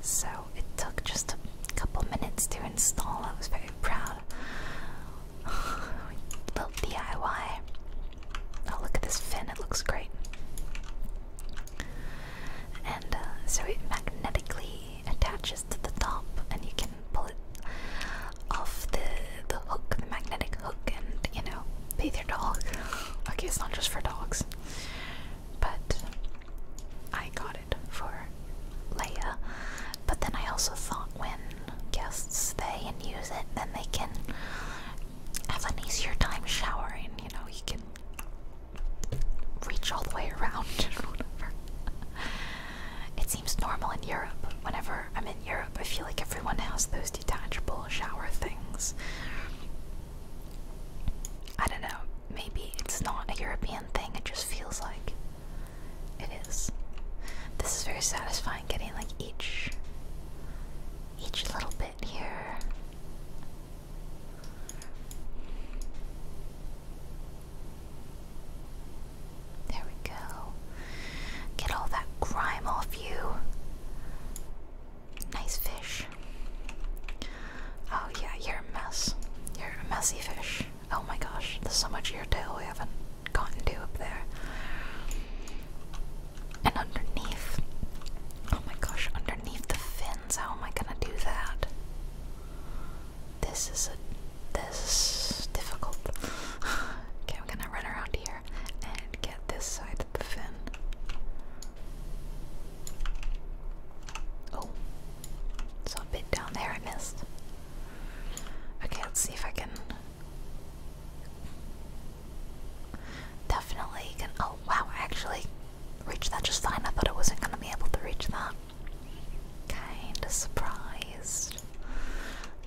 So it took just a couple minutes to install. I was very proud Little DIY. Oh, look at this fin, it looks great. And uh, so it magnetically attaches to the top, and you can pull it off the, the hook, the magnetic hook, and you know, bathe your dog. okay, it's not just for dogs, but I got it for Leia. But then I also thought when guests stay and use it, then they can have an easier time showering. You know, you can reach all the way around It seems normal in Europe. Whenever I'm in Europe, I feel like everyone has those detachable shower things. I don't know, maybe it's not a European thing, it just feels like it is. This is very satisfying mind getting like each each little bit here. There we go. Get all that grime off you. Nice fish. Oh yeah, you're a mess. You're a messy fish. Oh my gosh, there's so much here too we haven't cotton do up there. And underneath, oh my gosh, underneath the fins, how am I gonna do that? This is a this difficult. okay, I'm gonna run around here and get this side of the fin. Oh, saw a bit down there I missed. Okay, let's see if I can Definitely can. Oh wow! I actually reached that just fine. I thought I wasn't gonna be able to reach that. Kinda surprised.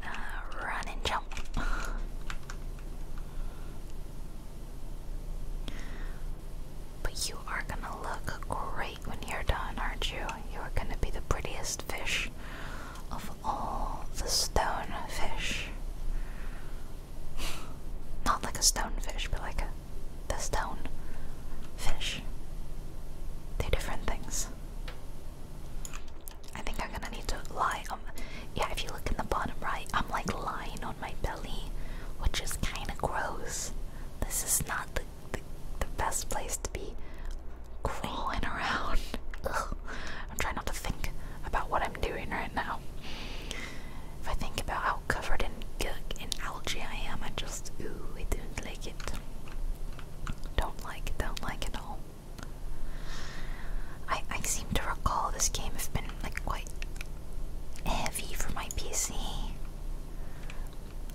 Uh, run and jump. But you are gonna look great when you're done, aren't you? You are gonna be the prettiest fish of all the stone fish. Not like a stone fish, but like a the stone fish. They're different things. I think I'm gonna need to lie on. Yeah, if you look in the bottom right, I'm like lying on my belly, which is kind of gross. This is not the, the best place to be crawling around. I'm trying not to think about what I'm doing right now. If I think about how covered in gunk and algae I am, I just ooh, I don't like it. Don't like it, don't like it at all. I I seem to recall this game has been like quite heavy for my PC.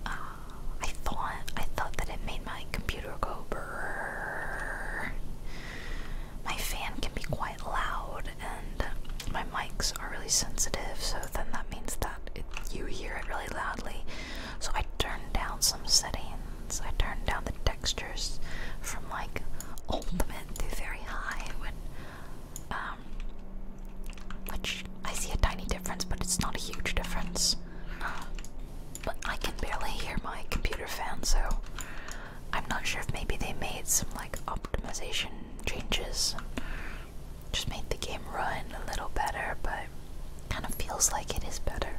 Uh, I thought I thought that it made my computer go my fan can be quite loud and my mics are really sensitive, so then that means that you hear it really loudly. So I turned down some settings. I turned down the textures from like ultimate to very high um, which I see a tiny difference, but it's not a huge difference. But I can barely hear my computer fan, so I'm not sure if maybe they made some like optimization changes just made the game run a little better, but kind of feels like it is better.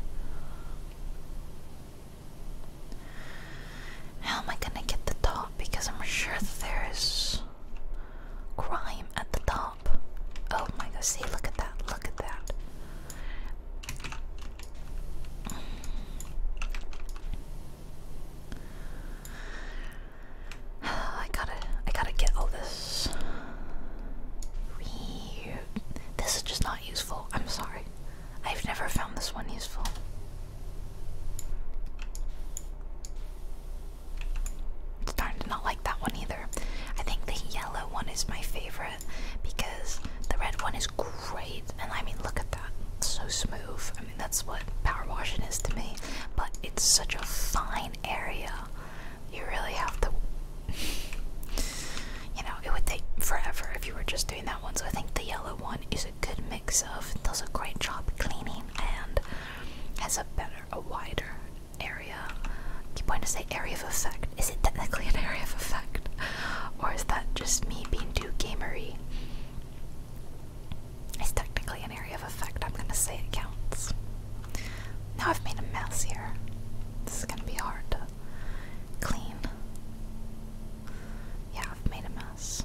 How am I gonna get the top? Because I'm sure there is crime at the top. Oh my gosh! see, look at that, look at that. I gotta, I gotta get all this. This is just not useful. I'm sorry. I've never found this one useful. It's to not like that one either. I think the yellow one is my favorite because the red one is great and I mean, look at that. so smooth. I mean, that's what power washing is to me. But it's such a fine area. You really have to. You know, it would take forever if you were just doing that one. So I think the yellow one is a good mix of does a great job cleaning and has a better, a wider area. keep wanting to say area of effect. Is it technically an area of effect? or is that just me being too gamery? It's technically an area of effect. I'm gonna say it counts. Now I've made a mess here. This is gonna be hard to clean. Yeah, I've made a mess.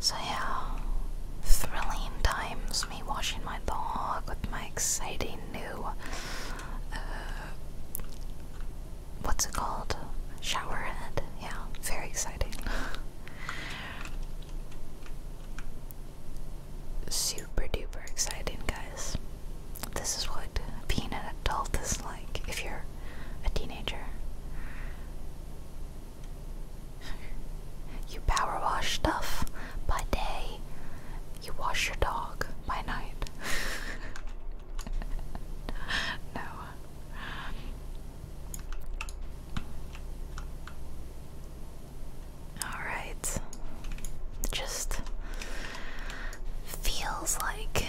So, yeah, thrilling times me washing my dog with my exciting new uh, what's it called? Showerhead. Yeah, very exciting. Super duper exciting, guys. This is what being an adult is like if you're a teenager. You power wash stuff by day, you wash your dog by night. no. Alright. just feels like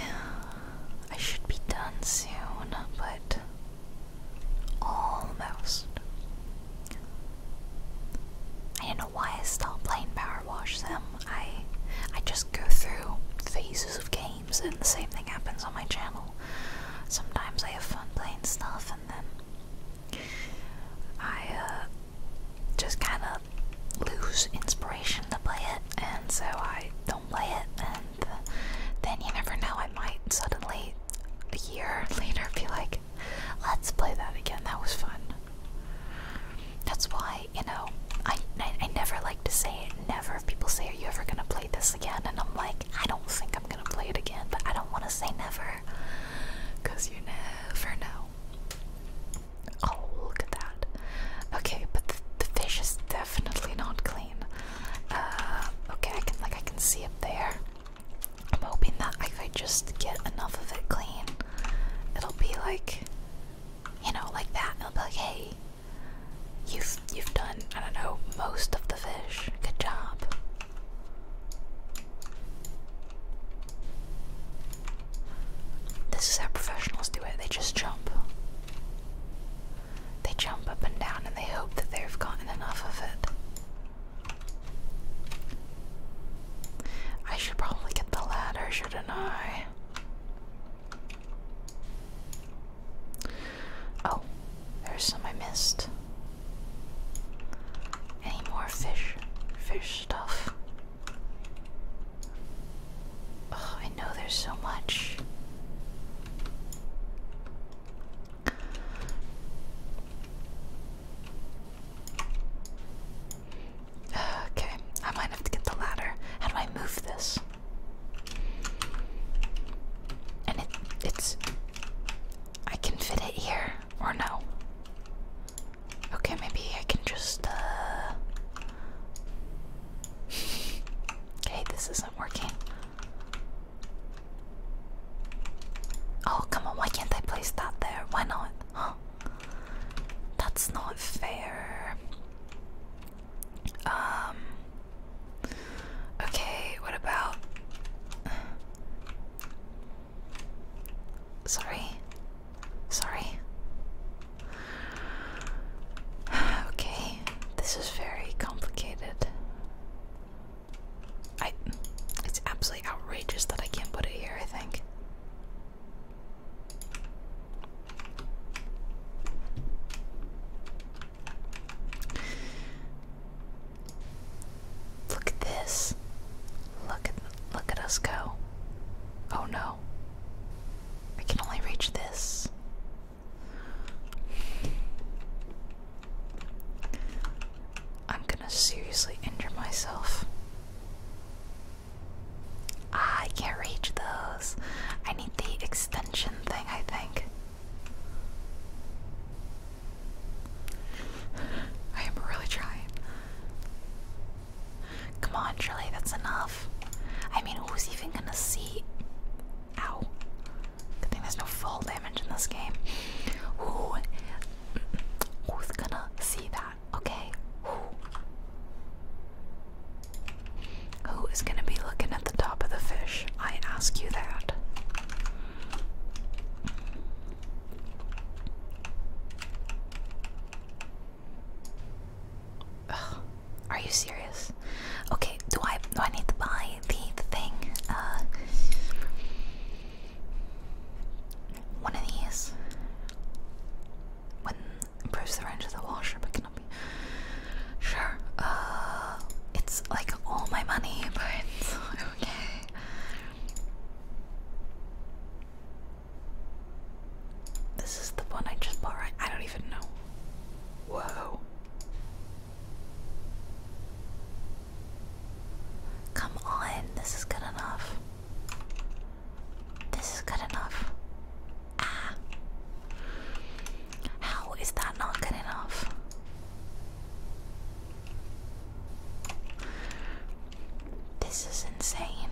I should be done soon, but almost. I don't know why I stopped playing Power wash them. I I just go through phases of games and the same thing happens on my channel. Sometimes I have fun playing stuff and then I uh, just kind of lose inspiration to play it and so I don't play it and uh, then you never know I might suddenly a year later be like let's play that again that was fun. That's why you know, I, I, never like to say it. Never. If people say, "Are you ever gonna play this again?" and I'm like, I don't think I'm gonna play it again, but I don't want to say never, cause you never know. Oh, look at that. Okay, but the, fish is definitely not clean. Uh, okay, I can like I can see it there. I'm hoping that if I just get enough of it clean. It'll be like you know, like that. It'll be like, hey, you've you've done I don't know most of the fish. Good job. This is how professionals do it. They just jump. They jump up and down and they hope that they've gotten enough of it. I should probably get the ladder, shouldn't I? Oh, there's some I missed. Any more fish, fish stuff? Oh, I know there's so much. Okay, I might have to get the ladder. How do I move this? And it it's I can fit it here or no. Okay, maybe I can just uh Okay, this isn't working. Oh, come on, why can't I place that there? Why not? Huh? That's not fair. Um Okay, what about Sorry. Sorry. Okay, this is very complicated. I it's absolutely outrageous that I can't put it here, I think. Look at this. Look at look at us go. Oh no. I can only reach this. I'm gonna seriously injure myself. Ah, I can't reach those. I need the extension thing, I think. I am really trying. Come on, Shirley, that's enough. I mean, who's even gonna see? Ow. Good thing there's no fall damage in this game. Who? Who's gonna see that? Okay. Who is going to be looking at the top of the fish? I ask you that. are you serious? Okay, do I do I need to buy the, thing? Uh, one of these improves the range of the washer, but cannot be sure. Uh, it's like all my money, but okay. This is the one I just bought, right? I don't even know. Whoa. Come on, this is good enough. This is good enough. Ah. How is that not good enough? This is insane.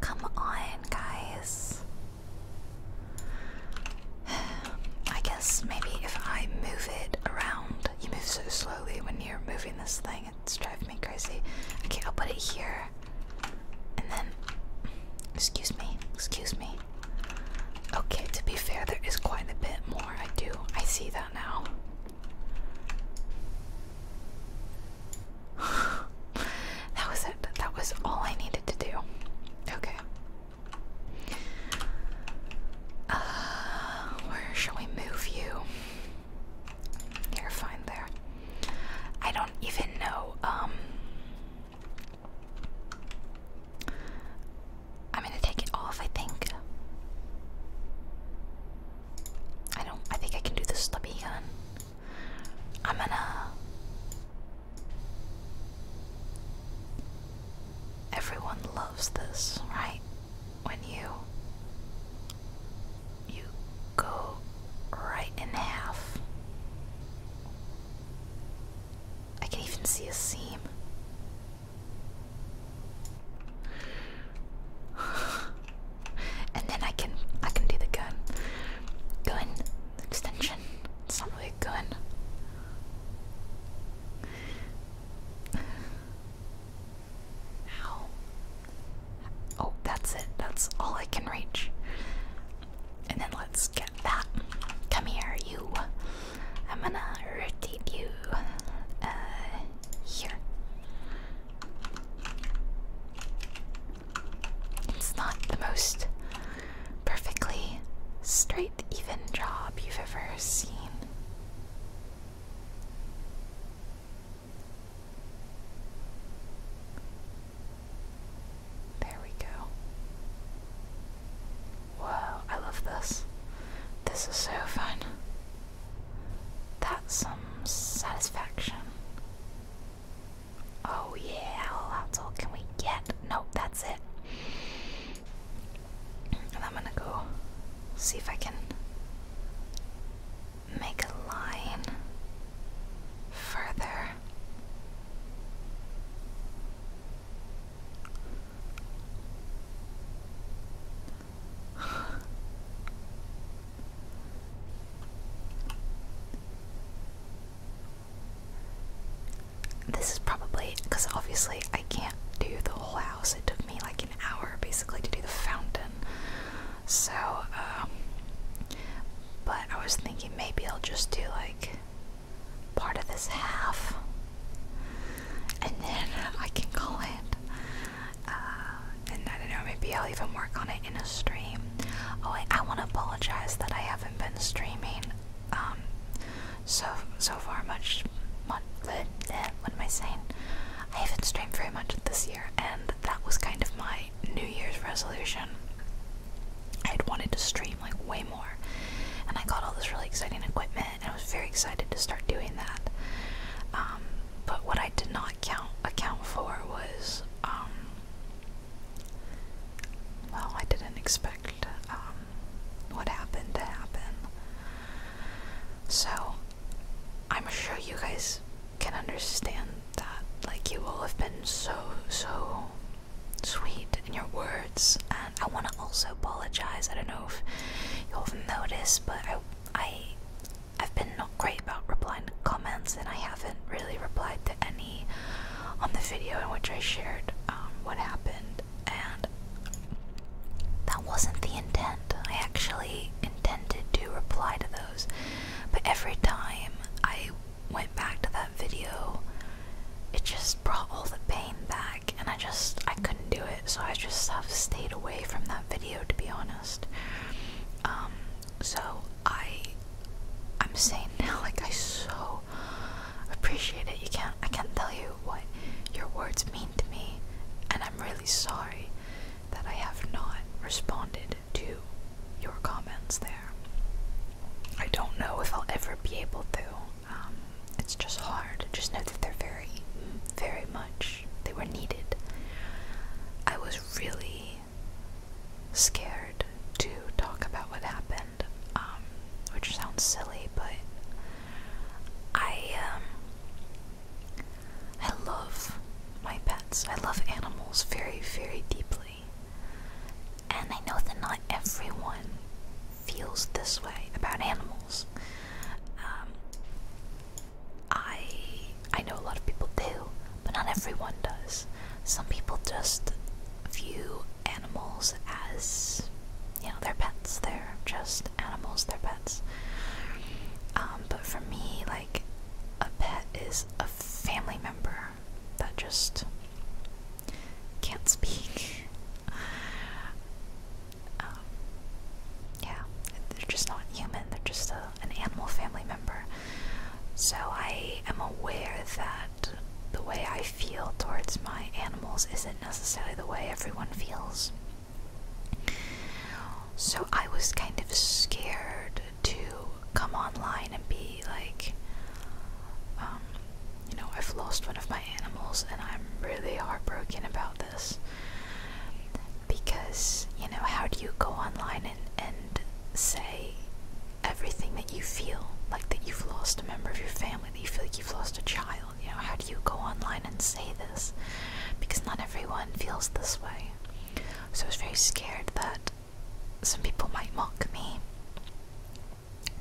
Come on, guys. I guess maybe if I move it around, you move so slowly when you're moving this thing, it's driving me crazy. Okay, I'll put it here. And then, excuse me, excuse me. Okay, to be fair, there is quite a bit more. I do, I see that now. that was it. That was all I needed to do. Okay. Uh, where shall we move you? You're fine there. I don't even know. Um, I'm gonna take it off. I think. I don't. I think I can do the stubby gun. I'm gonna. Everyone loves this, right? When you you go right in half. I can even see a seam. and then I can I can do the gun. Gun extension. It's not really a gun. How? Oh, that's it. That's all I can reach. And then let's get that. Come here, you. I'm gonna rotate you uh, here. It's not the most perfectly straight, even job you've ever seen. There we go. Whoa, I love this. This is so fun. That's some satisfaction. Oh yeah, that's all can we get? Nope, that's it. And I'm gonna go see if I can make a line further. This is probably because obviously I can't do the whole house. It took me like an hour basically to do the fountain. So, um, but I was thinking maybe I'll just do like part of this half and then I can call it. Uh, and I don't know, maybe I'll even work on it in a stream. Oh, wait, I want to apologize that I haven't been streaming um, so so far much. much bleh, what am I saying? I haven't streamed very much this year, and that was kind of my New Year's resolution. I had wanted to stream like way more, and I got all this really exciting equipment, and I was very excited to start doing that. Um, but what I did not count account for was, um, well, I didn't expect um, what happened to happen. So I'm sure you guys can understand that like you all have been so so sweet in your words and I want to also apologize. I don't know if you all have noticed but I I I've been not great about replying to comments and I haven't really replied to any on the video in which I shared um, what happened and that wasn't the intent. I actually intended to reply to those, but every time I went back to that video, it just brought all the pain back, and I just I couldn't do it, so I just have stayed away from that video to be honest. Um, so I I'm saying now, like I so appreciate it. You can't I can't tell you what your words mean to me, and I'm really sorry that I have not responded to your comments there. I don't know if I'll ever be able to. Um, it's just hard. Just know that they're very, very much, they were needed. I was really scared to talk about what happened, um, which sounds silly, but I, um, I love my pets. I love animals very, very deeply. And I know that not everyone feels this way about animals. Um, I I know a lot of people do, but not everyone does. Some people just view animals as you know, they're pets. They're just animals. They're pets. Um, but for me, like a pet is a family member that just can't speak. Um, yeah, they're just not human, they're just an animal family member. So I am aware that the way I feel towards my animals isn't necessarily the way everyone feels. So I was kind of scared to come online and be like, um, you know, I've lost one of my animals and I'm really heartbroken about this. Because, you know, how do you go online and, and say everything that you feel? Like that you've lost a member of your family, that you feel like you've lost a child. You know, how do you go online and say this? Because not everyone feels this way. So I was very scared that some people might mock me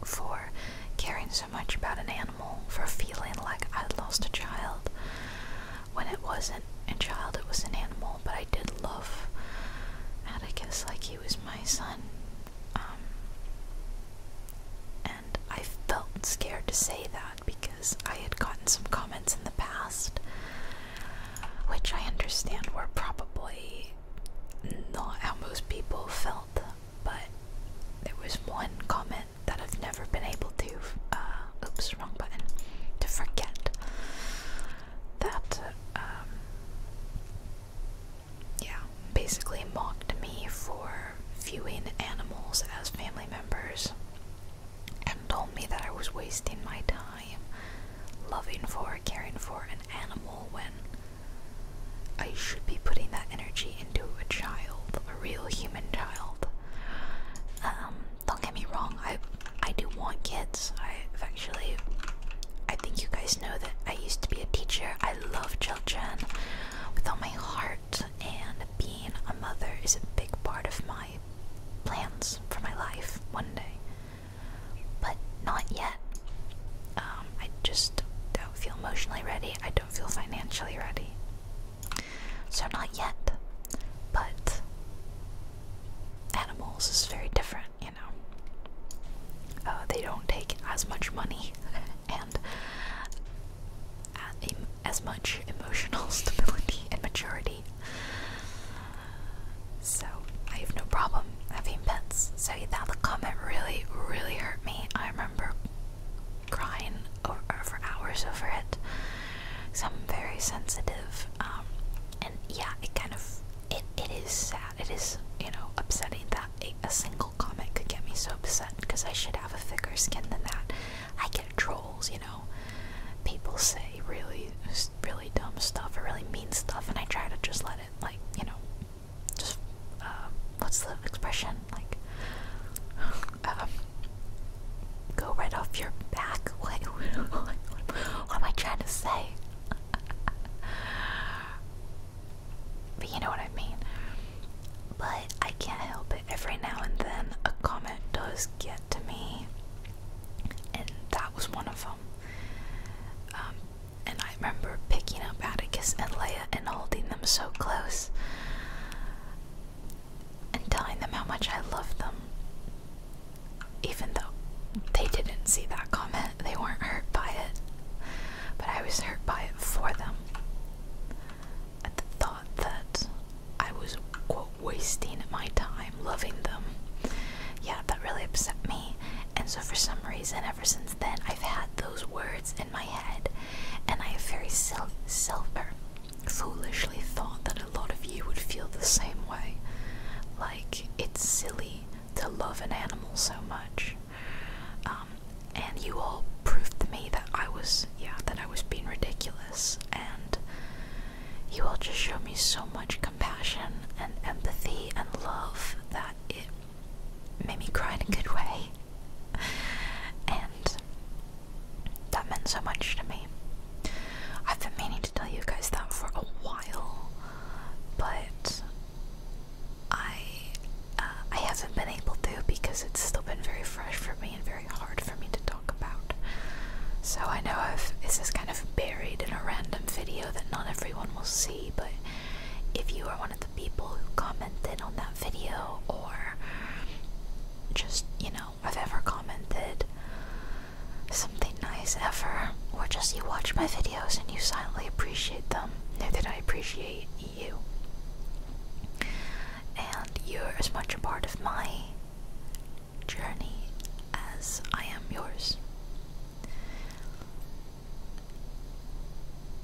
for caring so much about an animal, for feeling like I lost a child when it wasn't a child, it was an animal. But I did love Atticus like he was my son. Um, and I felt scared to say that because I had gotten some comments in the past which I understand were probably not how most people felt, but there was one comment that I've never been able to, uh, oops, wrong button, to forget that, um, yeah, basically mocked me for viewing animals as family members and told me that I was wasting my time. I am loving for, caring for an animal when I should be putting that energy into a child, a real human child. Um, don't get me wrong, I I do want kids. i actually I think you guys know that I used to be a teacher. I love children with all my heart and being a mother is a big part of my plans for my life one day but not yet. Um, I just don't feel emotionally ready. I don't feel financially ready. So, not yet. But animals is very different, you know. Oh, they don't take as much money and uh, as much emotional stability and maturity. So I have no problem having pets. So that comment really, really hurt me. I remember crying over, uh, for hours over it. So I'm very sensitive. Um, and yeah, it kind of it it is sad. It is you know upsetting that a single comment could get me so upset because I should have a thicker skin than that. I get trolls, you know. People say really really dumb stuff or really mean stuff, and I try to just let it, like, you know, just, um, what's the expression? Like, um, go right off your back? Like, what, am I trying to say? but you know what I mean. But I can't help it. Every now and then, a comment does get to me, and that was one of them. Um, and I remember picking up Atticus and Leia and holding them so close and telling them how much I loved them. Even though they didn't see that comment, they weren't hurt by it. But I was hurt by it for them. At the thought that I was, quote, wasting my time loving them. Yeah, that really upset me. And so, for some reason, ever since then, I've had those words in my head, and I have very self, self er, foolishly thought that a lot of you would feel the same way. Like it's silly to love an animal so much, um, and you all proved to me that I was, yeah, that I was being ridiculous, and you all just show me so much compassion and empathy and love that it made me cry in a good way. And that meant so much to me. I've been meaning to tell you guys that for a while, but I uh, I haven't been able to because it's still been very fresh for me and very hard for me to talk about. So I know I've, this is kind of buried in a random video that not everyone will see, but if you are one of the people who commented on that video or just, you know, I've ever commented something nice ever, or just you watch my videos and you silently appreciate them, know that I appreciate you. And you're as much a part of my journey as I am yours.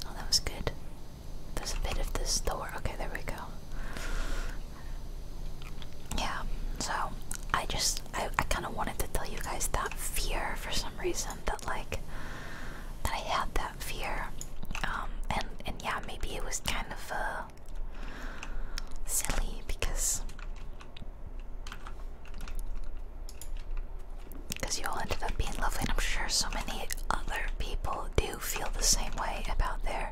Oh, that was good. There's a bit of this door. Okay, there we go. Yeah, so I just, I, I kind of wanted to tell you guys that fear for some reason that, like, that I had that fear. Um, and, and yeah, maybe it was kind of, uh, silly because because you all ended up being lovely, and I'm sure so many other people do feel the same way about their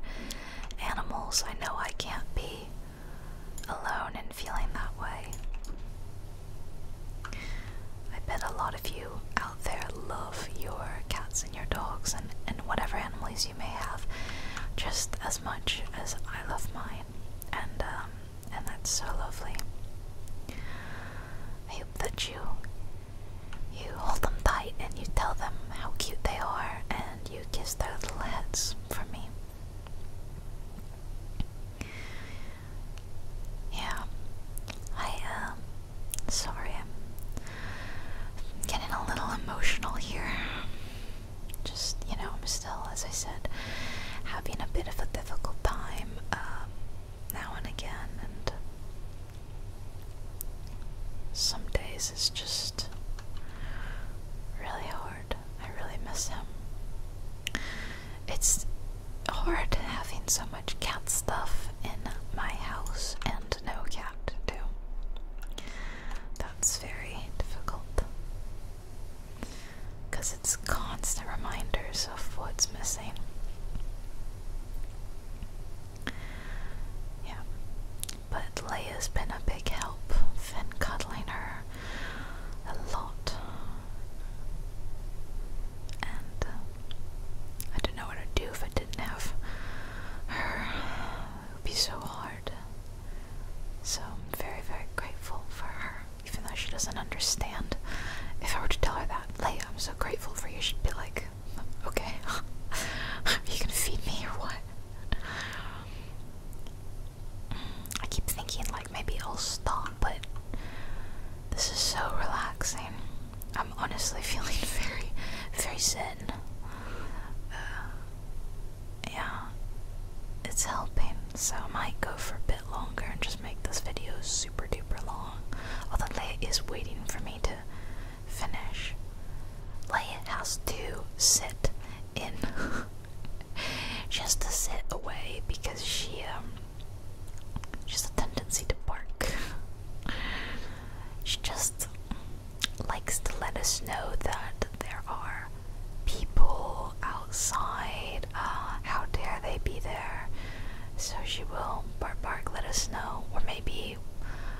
animals. I know I can't be alone in feeling that way. I bet a lot of you out there love your cats and your dogs and, and whatever animals you may have just as much as I love mine. And um, and that's so lovely. I hope that you you hold them tight and you tell them how cute they are and you kiss their little heads for me. Yeah, I am um, sorry. I'm getting a little emotional here just you know I'm still as I said having a bit of a difficult time um, now and again and some days it's just really hard I really miss him it's hard having so much cat stuff in my house and no cat too that's very difficult because it's constant reminders of what's missing. Yeah, but Leia's been a big help. Finn cuddling her a lot, and uh, I don't know what i do if I didn't have her. It would be so hard. So I'm very, very grateful for her even though she doesn't understand. If I were to tell her that, Leia, I'm so grateful for you, she'd be like, okay, are you gonna feed me or what? I keep thinking, like, maybe it will stop, but this is so relaxing. I'm honestly feeling very, very sad yeah, it's helping, so I might go for a bit longer and just make this video super duper long. Although Leia is waiting for me to finish. Leia has to sit in. just to sit away because she um she has a tendency to bark. she just likes to let us know that there are people outside. Uh, how dare they be there? So she will bark bark, let us know. Or maybe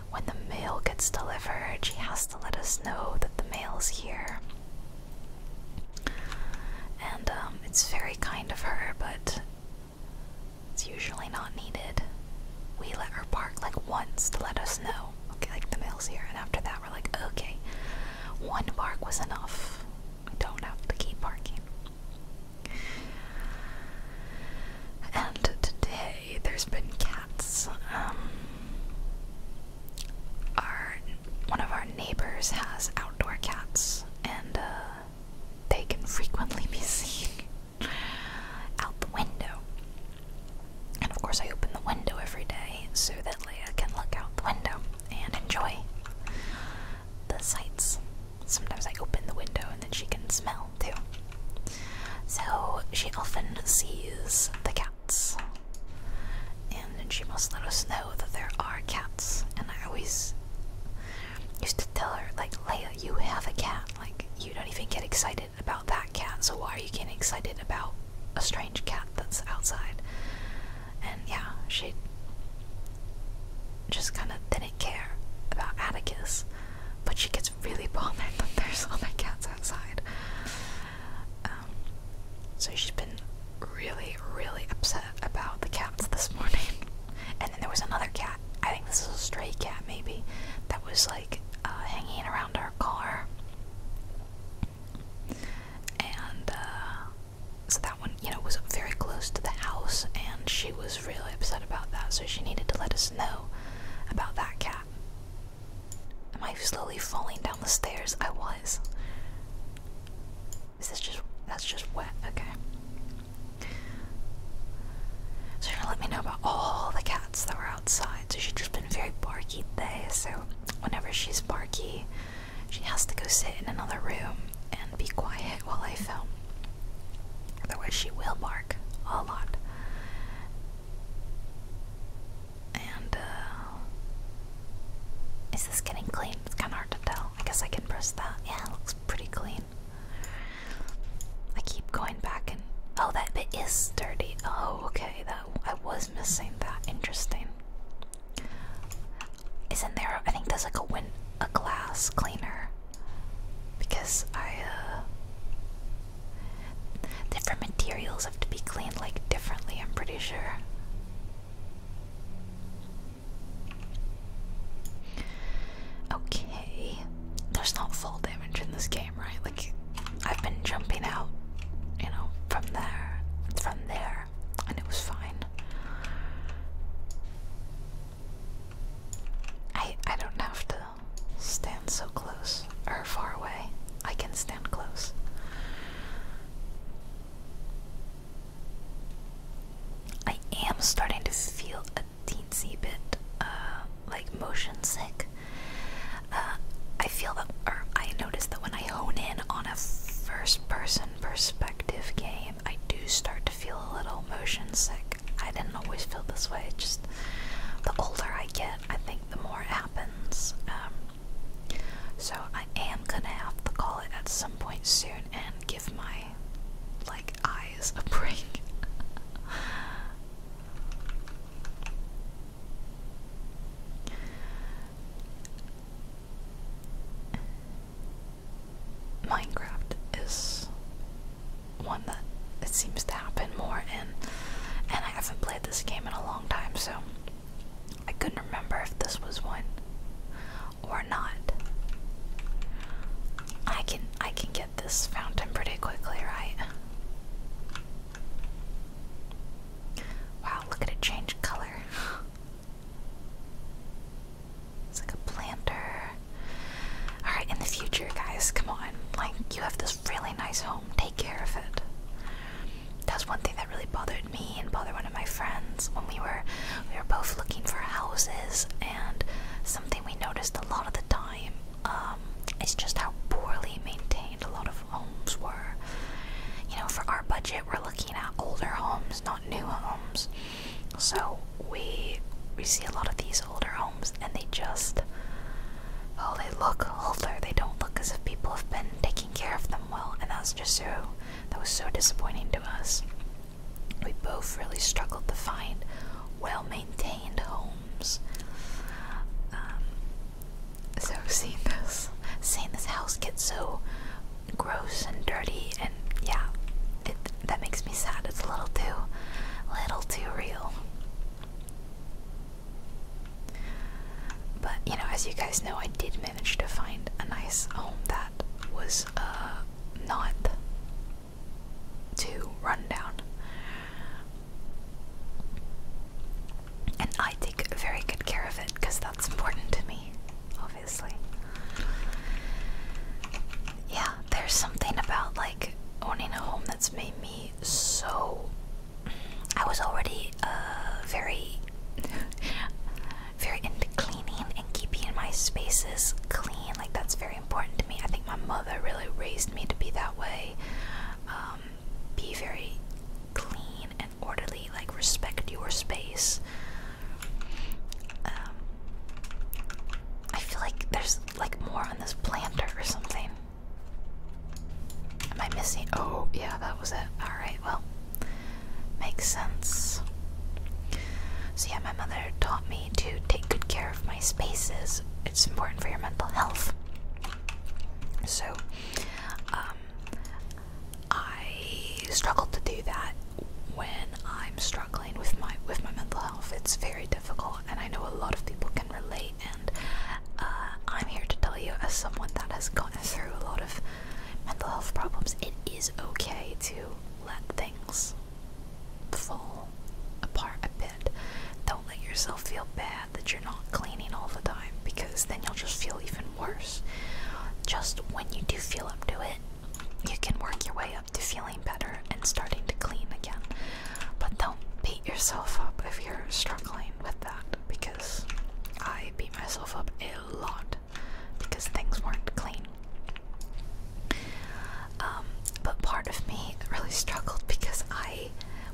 when the mail gets delivered, she has to let us know that the mail's here. And um, it's very kind of her, but it's usually not needed. We let her bark like once to let us know. Okay, like the mail's here, and after that, that were like, okay, one park was enough. We don't have to keep parking. And today there's been cats. Um, our one of our neighbors has outdoor cats, and uh, they can frequently be seen out the window. And of course, I open the window every day so that Leia can look out the window and enjoy the sights. Sometimes I open the window and then she can smell too. So she often sees the cats, and she must let us know that there are cats. And I always used to tell her, like, Leia, you have a cat. Like, you don't even get excited about that cat, so why are you getting excited about a strange cat that's outside. And yeah, she just kind of didn't care about Atticus, but she gets really bothered that there's other cats outside. Um, so she's been really, really upset about the cats this morning. And then there was another cat. I think this is a stray cat, maybe, that was like uh, hanging around our car and uh, so that one, you know, was very close to the house, and she was really upset about that. So she needed to let us know about that cat. Am I slowly falling down the stairs? I was. Is just that's just wet? Okay. So you're gonna let me know about all the cats that were outside. So she's just been very barky today. So whenever she's barky, she has to go sit in another room and be quiet while I film. Otherwise, she will bark a lot. And, uh, Is this getting clean? It's kind of hard to tell. I guess I can press that. Yeah, looks pretty clean. I keep going back and. Oh, that bit is dirty. Oh, okay. That I was missing that. Interesting. Isn't there? I think there's like a win a glass cleaner because I uh, different materials have to be cleaned like differently. I'm pretty sure. Okay, there's not full damage in this game, right? Like I've been jumping out, you know, from there, from there and it was fine. I I don't have to stand so close or far away. I can stand close. I am starting to feel a teensy bit uh, like motion sick. Uh, I feel that, or I noticed that when I hone in on a first person perspective game, I do start to feel a little motion sick. I didn't always feel this way, just the older I get, I think the more it happens. Um, so I am gonna have to call it at some point soon and give my like eyes a break. Minecraft is one that it seems to happen more in, and I haven't played this game in a long time, so I couldn't remember if this was one or not. I can I can get this fountain pretty quickly, right? Wow, look at it change color. It's like a planter. Alright, in the future, guys, come on. Like, you have this really nice home. Take care of it. That's one thing that really bothered me and bothered one of my friends when we were we were both looking for houses and something we noticed a lot of the time um, is just how poorly maintained a lot of homes were. You know, for our budget, we're looking at older homes, not new homes. So we we see a lot of these older homes and they just oh they look older. They don't look as if people have been taking care of them well and that's just so that was so disappointing to us. We both really struggled to find well maintained homes. Um, so seeing this seeing this house get so gross and dirty and yeah it that makes me sad it's a little too little too real but you know as you guys know i did manage to find a nice home that was uh not too rundown and i take very good care of it because that's important to me obviously. Yeah, there's something about like owning a home that's made me so. I was already uh, very, very into cleaning and keeping my spaces clean. Like that's very important to me. I think my mother really raised me to be that way, um, be very clean and orderly, like respect your space. Um, I feel like there's like more on this planter or something. Am I missing? Oh, yeah, that was it. All right, well, makes sense. So yeah, my mother taught me to take good care of my spaces. It's important for your mental health. So, uh, I struggle to do that when I'm struggling with my with my mental health. It's very difficult, and I know a lot of people can relate. And uh, I'm here to tell you, as someone that has gone through a lot of mental health problems, it is okay to let things fall apart a bit. Don't let yourself feel bad that you're not cleaning all the time because then you'll just feel even worse. Just when you do feel up to it you can work your way up to feeling better and starting to clean again. But don't beat yourself up if you're struggling with that because I beat myself up a lot because things weren't clean. Um, but part of me really struggled because I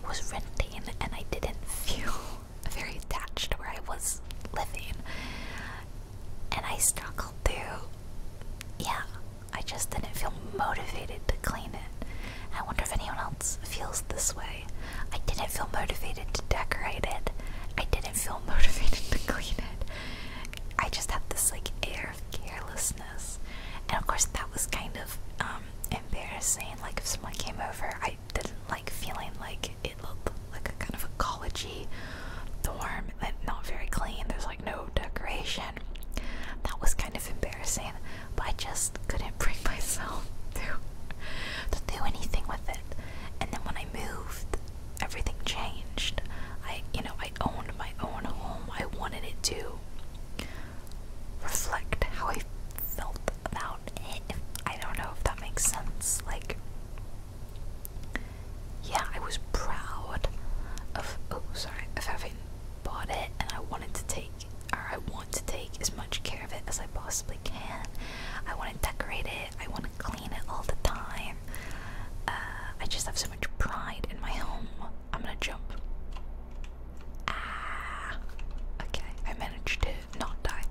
was renting and I didn't feel very attached to where I was living and I struggled through. Yeah, I just didn't feel motivated to clean it. I wonder if anyone else feels this way. I didn't feel motivated to decorate it. I didn't feel motivated to clean it. I just had this like air of carelessness. And of course that was kind of um, embarrassing. Like if someone came over, I didn't like feeling like it looked like a kind of a collegey dorm, and not very clean. There's like no decoration. That was kind of embarrassing, but I just couldn't bring myself to to do anything with it. And then when I moved, everything changed. I, you know, I owned my own home. I wanted it to reflect how I felt about it. I don't know if that makes sense. Like, yeah, I was proud of oh sorry of having bought it, and I wanted to take or I want to take as much care of it as I possibly can. I want to decorate it. I want to clean it all the time. Uh, I just have so much pride in my home. I'm gonna jump. Ah, okay. I managed to not die.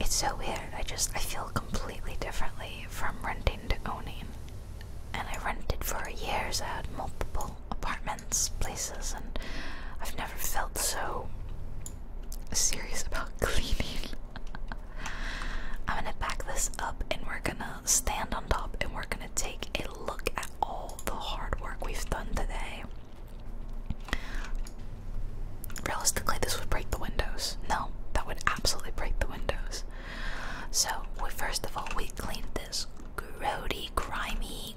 It's so weird. I just I feel complete completely differently from renting to owning. And I rented for years. I had multiple apartments, places, and I've never felt so serious about cleaning. I'm gonna back this up and we're gonna stand on top and we're gonna take a look at all the hard work we've done today. Realistically, this would break the windows. No, that would absolutely break the windows. So, we, first of all, we cleaned this grody, grimy,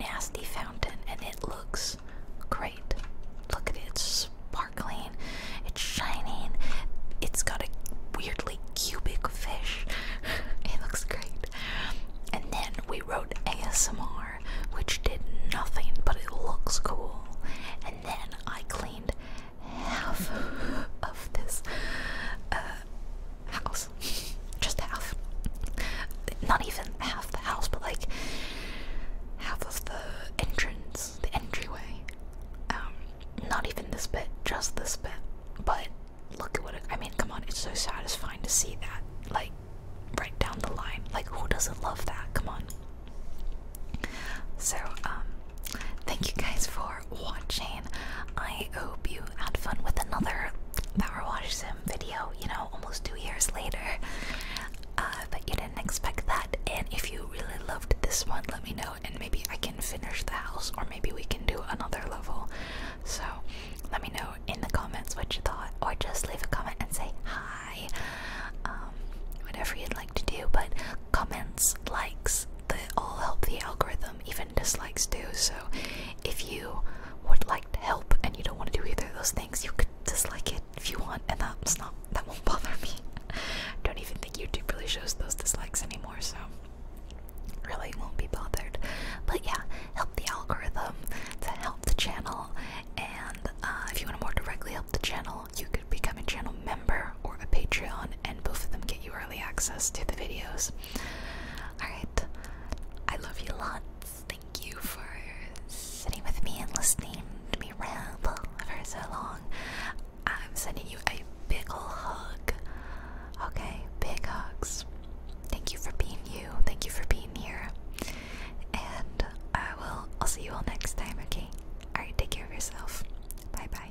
nasty fountain, and it looks great. Look at it, it's sparkling, it's shining, it's got a weirdly cubic fish. it looks great. And then we wrote ASMR, which did nothing, but it looks cool then I cleaned half of this uh, house. Just half. Not even half the house, but like half of the entrance, the entryway. Um, not even this bit, just this bit. But look at what I mean, come on, it's so satisfying to see that, like, right down the line. Like, who doesn't love that? Come on. So, um, thank you guys for watching. I hope you had fun with another Power Wash Sim video, you know, almost two years later. Uh, but you didn't expect that. And if you really loved this one, let me know, and maybe I can finish the house, or maybe we can do another level. So, let me know in the comments what you thought, or just leave a comment and say hi. Um, whatever you'd like to do. But comments, likes, they all help the algorithm, even dislikes do. So if you would like to help and you don't want to do either of those things, you could dislike it if you want, and that's not that won't bother me. don't even think YouTube really shows those dislikes anymore, so really won't be bothered. But yeah, help the algorithm to help the channel, and uh, if you want to more directly help the channel, you could become a channel member or a Patreon, and both of them get you early access to the videos. Alright, I love you lots. Thank you for sitting with me and listening to me ramble for so long. I'm sending you a big ol' hug. Okay, big hugs. Thank you for being you. Thank you for being here. And I will I'll see you all next time, okay? Alright, take care of yourself. Bye bye.